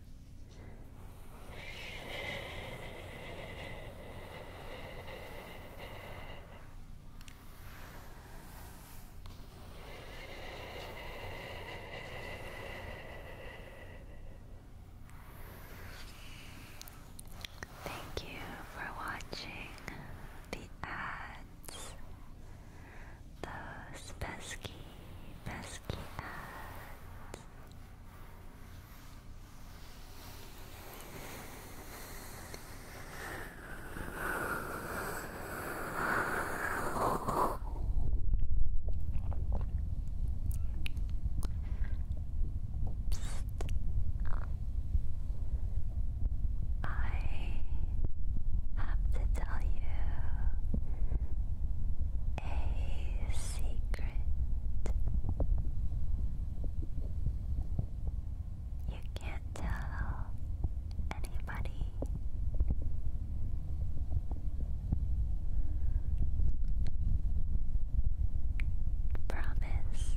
[SPEAKER 1] Thank you for watching the ads those pesky, pesky ads. I have to tell you a secret. You can't tell anybody. Promise.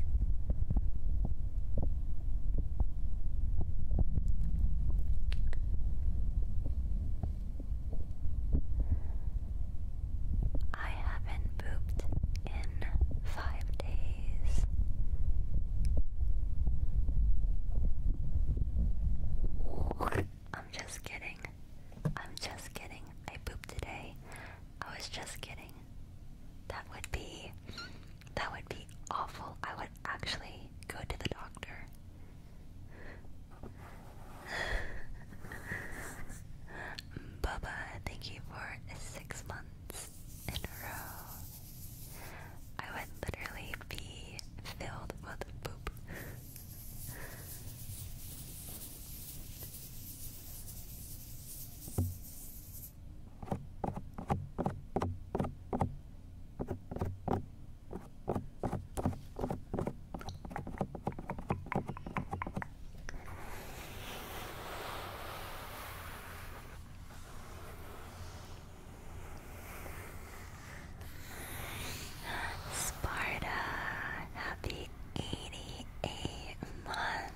[SPEAKER 1] I haven't pooped in five days. I'm just kidding. I'm just kidding. I pooped today. I was just kidding. That would be that would be awful. I would actually go to the doctor. Bubba, thank you for six months in a row. I would literally be filled with poop. Sparta, happy 88 months.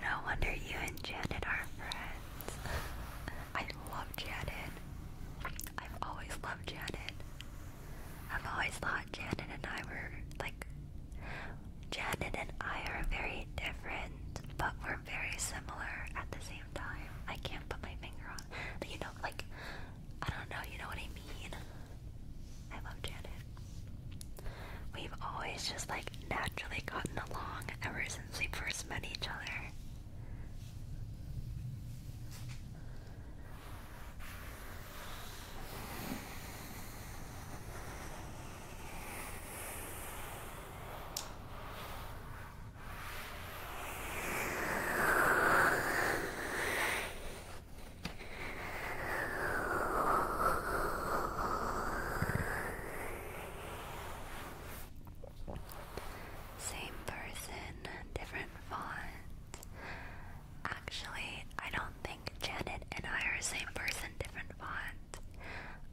[SPEAKER 1] No wonder you and Janet are friends. I love Janet. I've always loved Janet. I've always thought Janet and I were like Janet and I are very different, but we're very similar at the same time. I can't put my finger on but you know, like I don't know, you know what I mean? I love Janet. We've always just like naturally gotten along ever since we first met each other. Same person, different font. Actually, I don't think Janet and I are the same person, different font.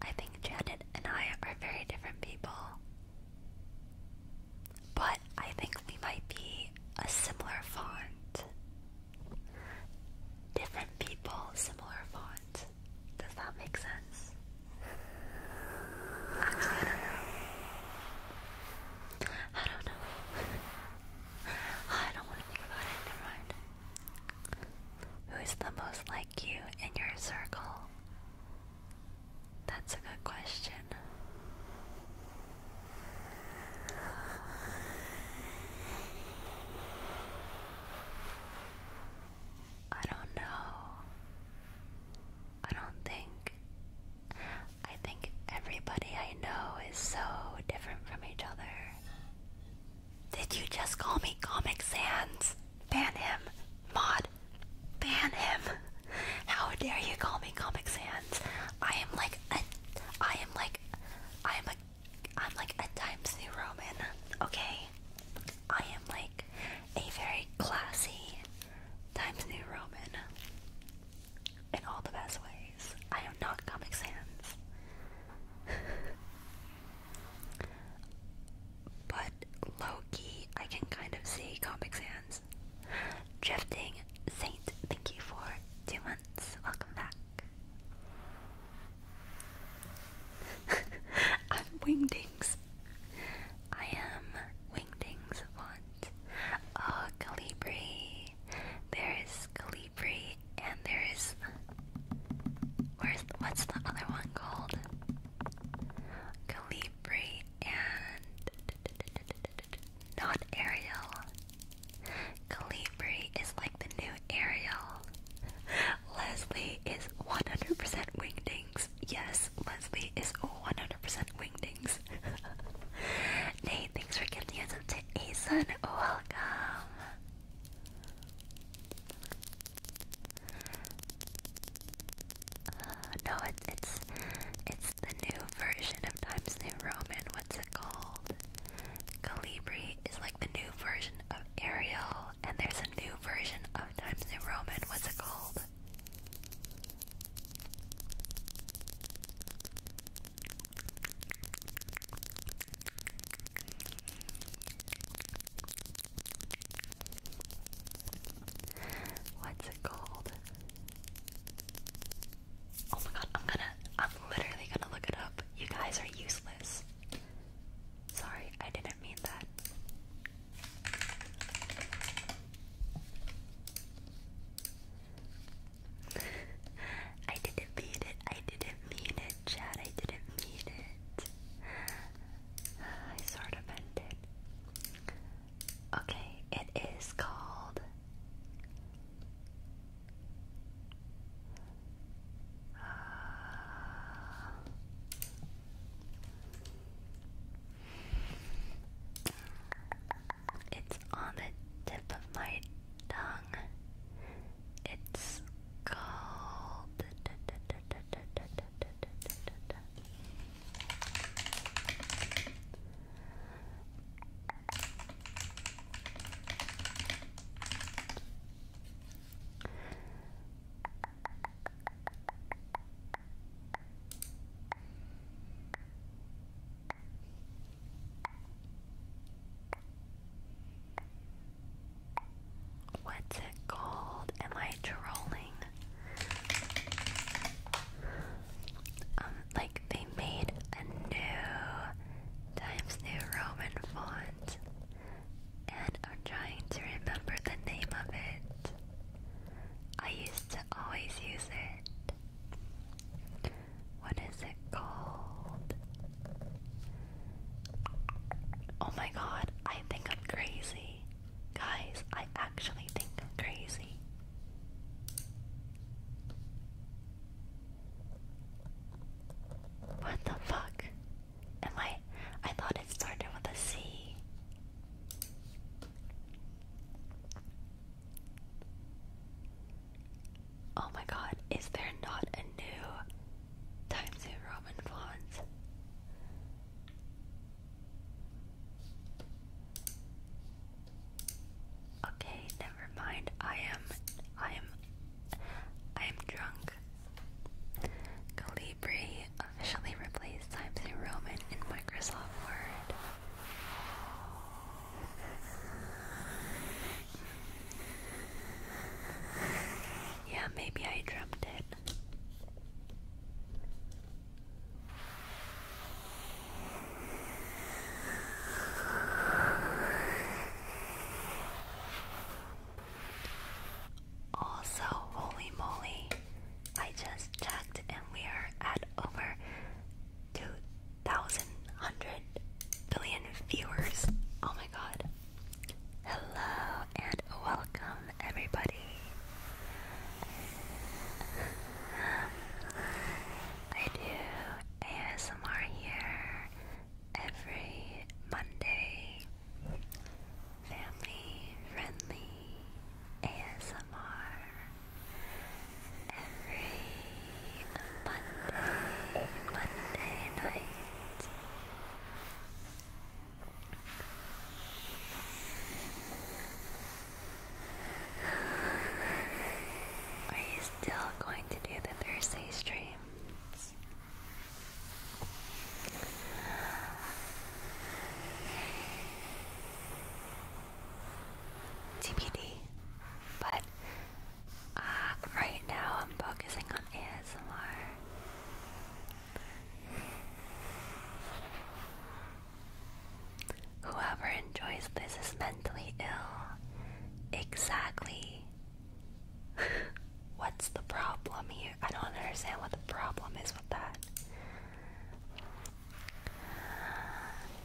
[SPEAKER 1] I think Janet and I are very different people. But I think we might be a similar font. Different people, similar font. Does that make sense? I don't know. I don't know. I don't want to think about it. Never mind. Who is the most like you in your circle? That's a good question. I don't know. I don't think. I think everybody I know is so different from each other. Did you just call me Comic Sans? Ban him. Mod, ban him. How dare you call me Comic Sans? I am like a, I am like, I am a, I'm like a Times New Roman. Okay, I am like a very classy, Times New Roman. In all the best ways. I am not Comic Sans. but Loki, I can kind of see Comic Sans. Drifting Saint, thank you for two months. Welcome back. I'm Wingdings. I am Wingdings Vaughn. Oh, Calibri. There is Calibri, and there is. Where's what's the other one called? Calibri and not Ariel. Calibri is like the new Ariel. Leslie is 100% wingdings. Yes, Leslie is 100% and wingdings. Nate, thanks for gifting us up to Asun. Welcome. Uh, no, it's it's the new version of Times New Roman. What's it called? Calibri is like the new version of Ariel, and there's a new version of Times New Roman. What's it called? What's it called? Oh my god, I'm gonna, I'm literally gonna look it up. You guys are useless. Sorry, I didn't mean that. I didn't mean it. I didn't mean it, Chad. I didn't mean it. I sort of meant it. Okay, it is called. It's on the tip of my tongue. It's called. What's it called? Am I trolling? Um, like they made a new Times New Roman font, and I'm trying to remember the name of it. I used to always use it. What is it called? Oh my god, I think I'm crazy. Guys, I actually think I'm crazy. What the fuck? Am I? I thought it started with a C. Oh my god, is there not a new Times New Roman font? Okay, never mind. I am I am I am drunk. Calibri officially replaced Times New Roman in Microsoft Word. Yeah, maybe I dropped it. Also, holy moly, I just checked and we are at over 2,100 billion viewers. Oh my god. Hello and welcome, everybody. I do ASMR here every Monday. Family friendly ASMR every Monday, Monday night. Are you still going to do the Thursday streams? TBD. But uh, right now I'm focusing on ASMR. Whoever enjoys this is mentally ill. Exactly. What's the problem here? I don't understand what the problem is with that.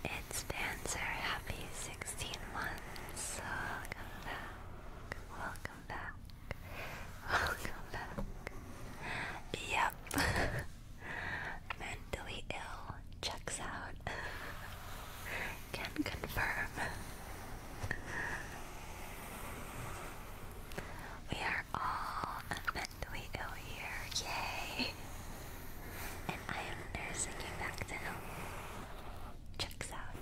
[SPEAKER 1] It's Dancer, happy 16 months. Welcome back. Welcome back. Welcome back. Yep. Mentally ill checks out. Can confirm. We are all mentally ill here. Yay and I am nursing you back to health. Checks out.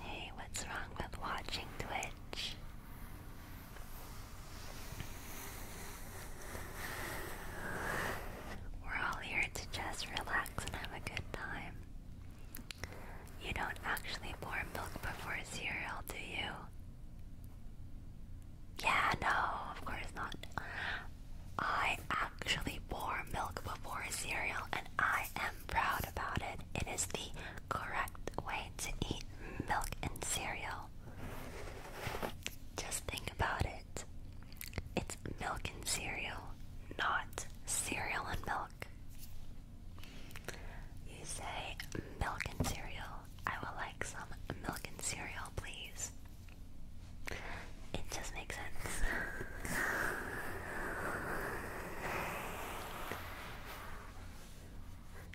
[SPEAKER 1] Hey, what's wrong with watching Twitch? We're all here to just relax and have a good time. You don't actually pour milk before cereal, do you? Yeah, no, of course not. I actually pour milk before cereal and I am proud about it. It is the correct way to eat milk and cereal. Just think about it. It's milk and cereal, not cereal and milk. You say milk and cereal. I would like some milk and cereal, please. It just makes sense.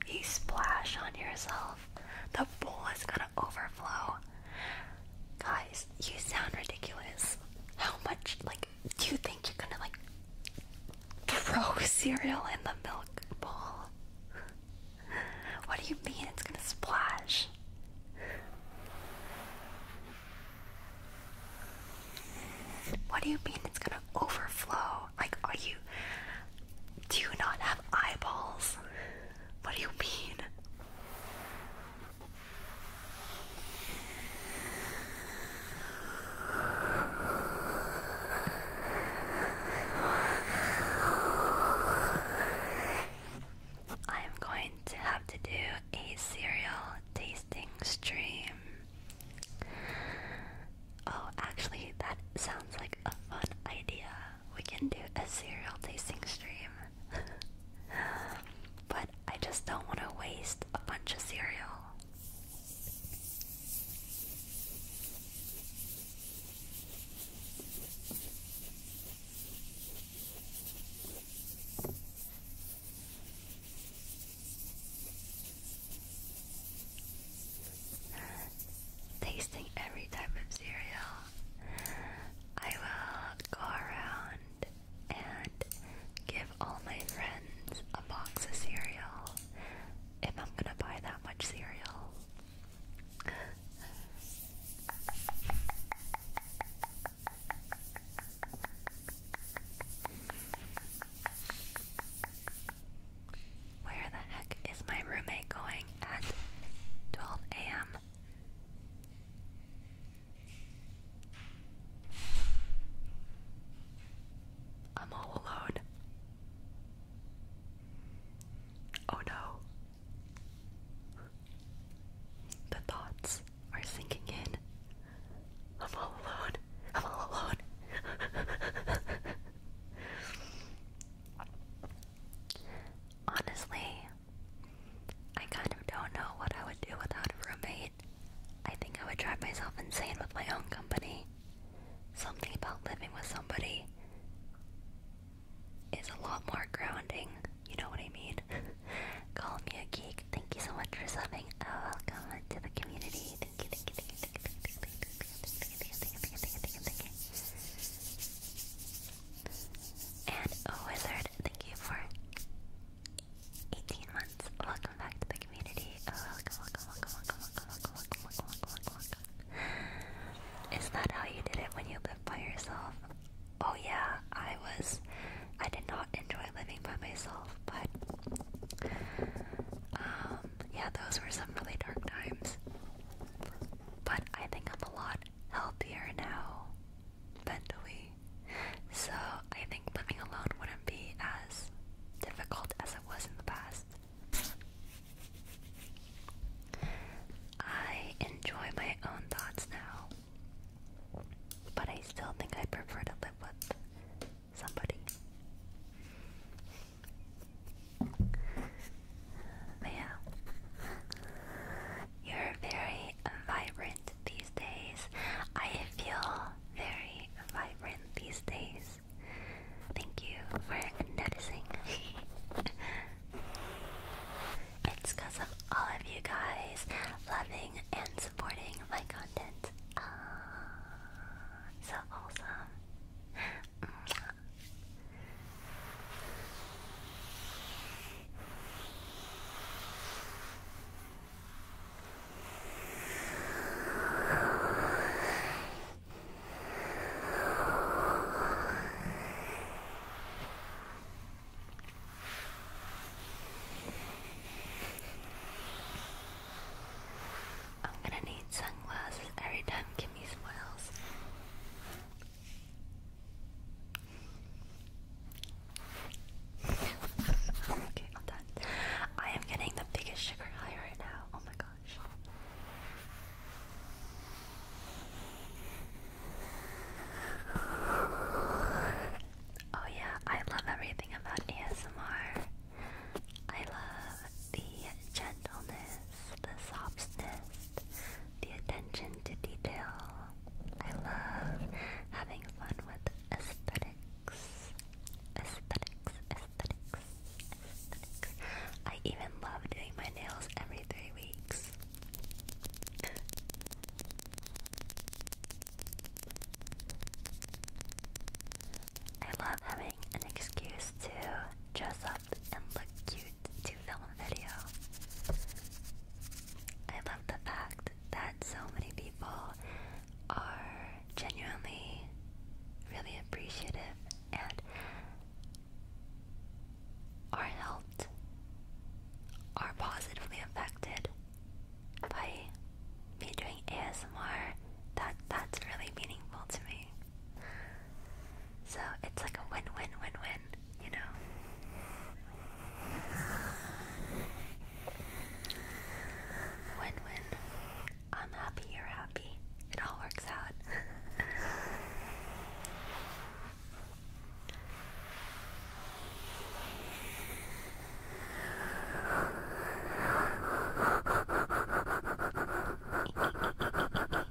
[SPEAKER 1] You splash on yourself. The bowl is gonna overflow. Guys, you sound ridiculous. How much, like, do you think you're gonna, like, throw cereal in the milk bowl? What do you mean it's gonna splash? What do you mean it's gonna overflow. Like, are you. Do you not have eyeballs? What do you mean? I am going to have to do a cereal tasting stream. Oh, actually, that sounds like a fun idea. We can do a cereal tasting stream. but I just don't want to waste a bunch of cereal. Tasting every type of cereal. I will go around and give all my friends a box of cereal if I'm gonna buy that much cereal. Where the heck is my roommate going at 12 a.m.? I'm all alone. Oh no. The thoughts are sinking in. I'm all alone. I'm all alone. Honestly, I kind of don't know what I would do without a roommate. I think I would drive myself insane with my own company. Something about living with somebody is a lot more grounding. You know what I mean? Call me a geek. Thank you so much for subbing. Oh, welcome to the community. And oh, Wizard, thank you for 18 months. Welcome back to the community. Oh, welcome, welcome, welcome, welcome, welcome, welcome, welcome, welcome, welcome, welcome. Is that how you did it when you lived by yourself? Oh yeah, I was. I did not enjoy living by myself, but um, yeah, those were some really dark times. But I think I'm a lot healthier now mentally. So I think living alone wouldn't be as difficult as it was in the past. I enjoy my own thoughts now. But I still think I prefer to live with somebody yeah, you're very vibrant these days. I feel very vibrant these days. Thank you for noticing. it's because of all of you guys loving and supporting my content. Ah, so awesome. Mm. I'm gonna need sunglasses every time i I am getting the biggest sugar high right now. Oh my gosh. Oh, yeah, I love everything about ASMR. I love the gentleness, the softness, the attention to detail. I love having fun with aesthetics. Aesthetics, aesthetics, aesthetics. I even love doing my nails every three weeks. I love having an excuse to dress and look cute to film a video. I love the fact that so many people are genuinely really appreciative and are helped, are positively affected by me doing ASMR. That that's really meaningful to me. So it's like a win win win win, you know? Win win. I'm happy, you're happy. It all works out.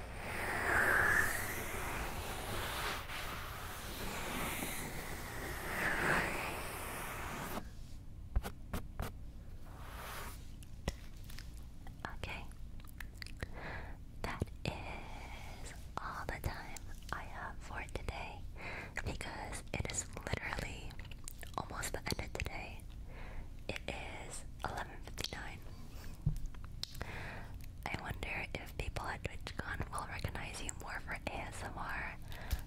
[SPEAKER 1] Okay, that is all the time I have for today because it is literally almost the end of today. It is 11:59. I wonder if people at TwitchCon will recognize you more for ASMR.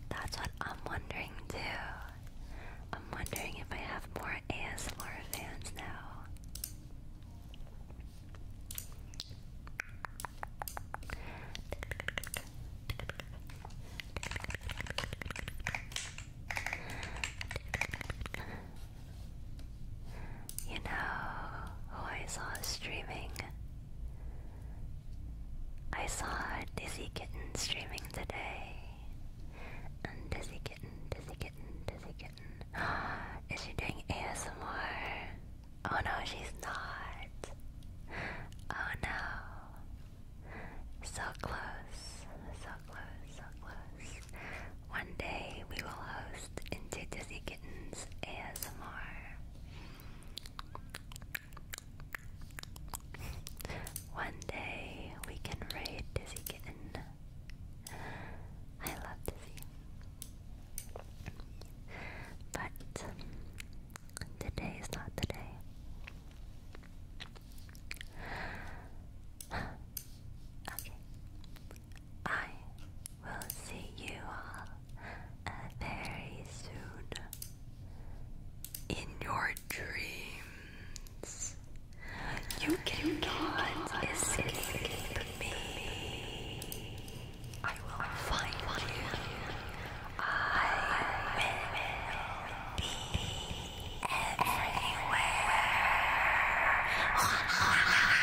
[SPEAKER 1] That's what I'm wondering too. I'm wondering if I have more ASMR fans now. You know I saw streaming? I saw Dizzy Kitten streaming today. Dizzy Kitten, Dizzy Kitten, Dizzy Kitten. Is she doing ASMR? Oh no, she's not. Oh no. So close, so close, so close. One day we will host into Dizzy Kitten. Kittens ASMR. One day we can raid Dizzy Kitten. I love Dizzy. But today is not the day. okay. I will see you all uh, very soon in your dreams. You cannot escape, me. I will find, you. I
[SPEAKER 2] will be everywhere.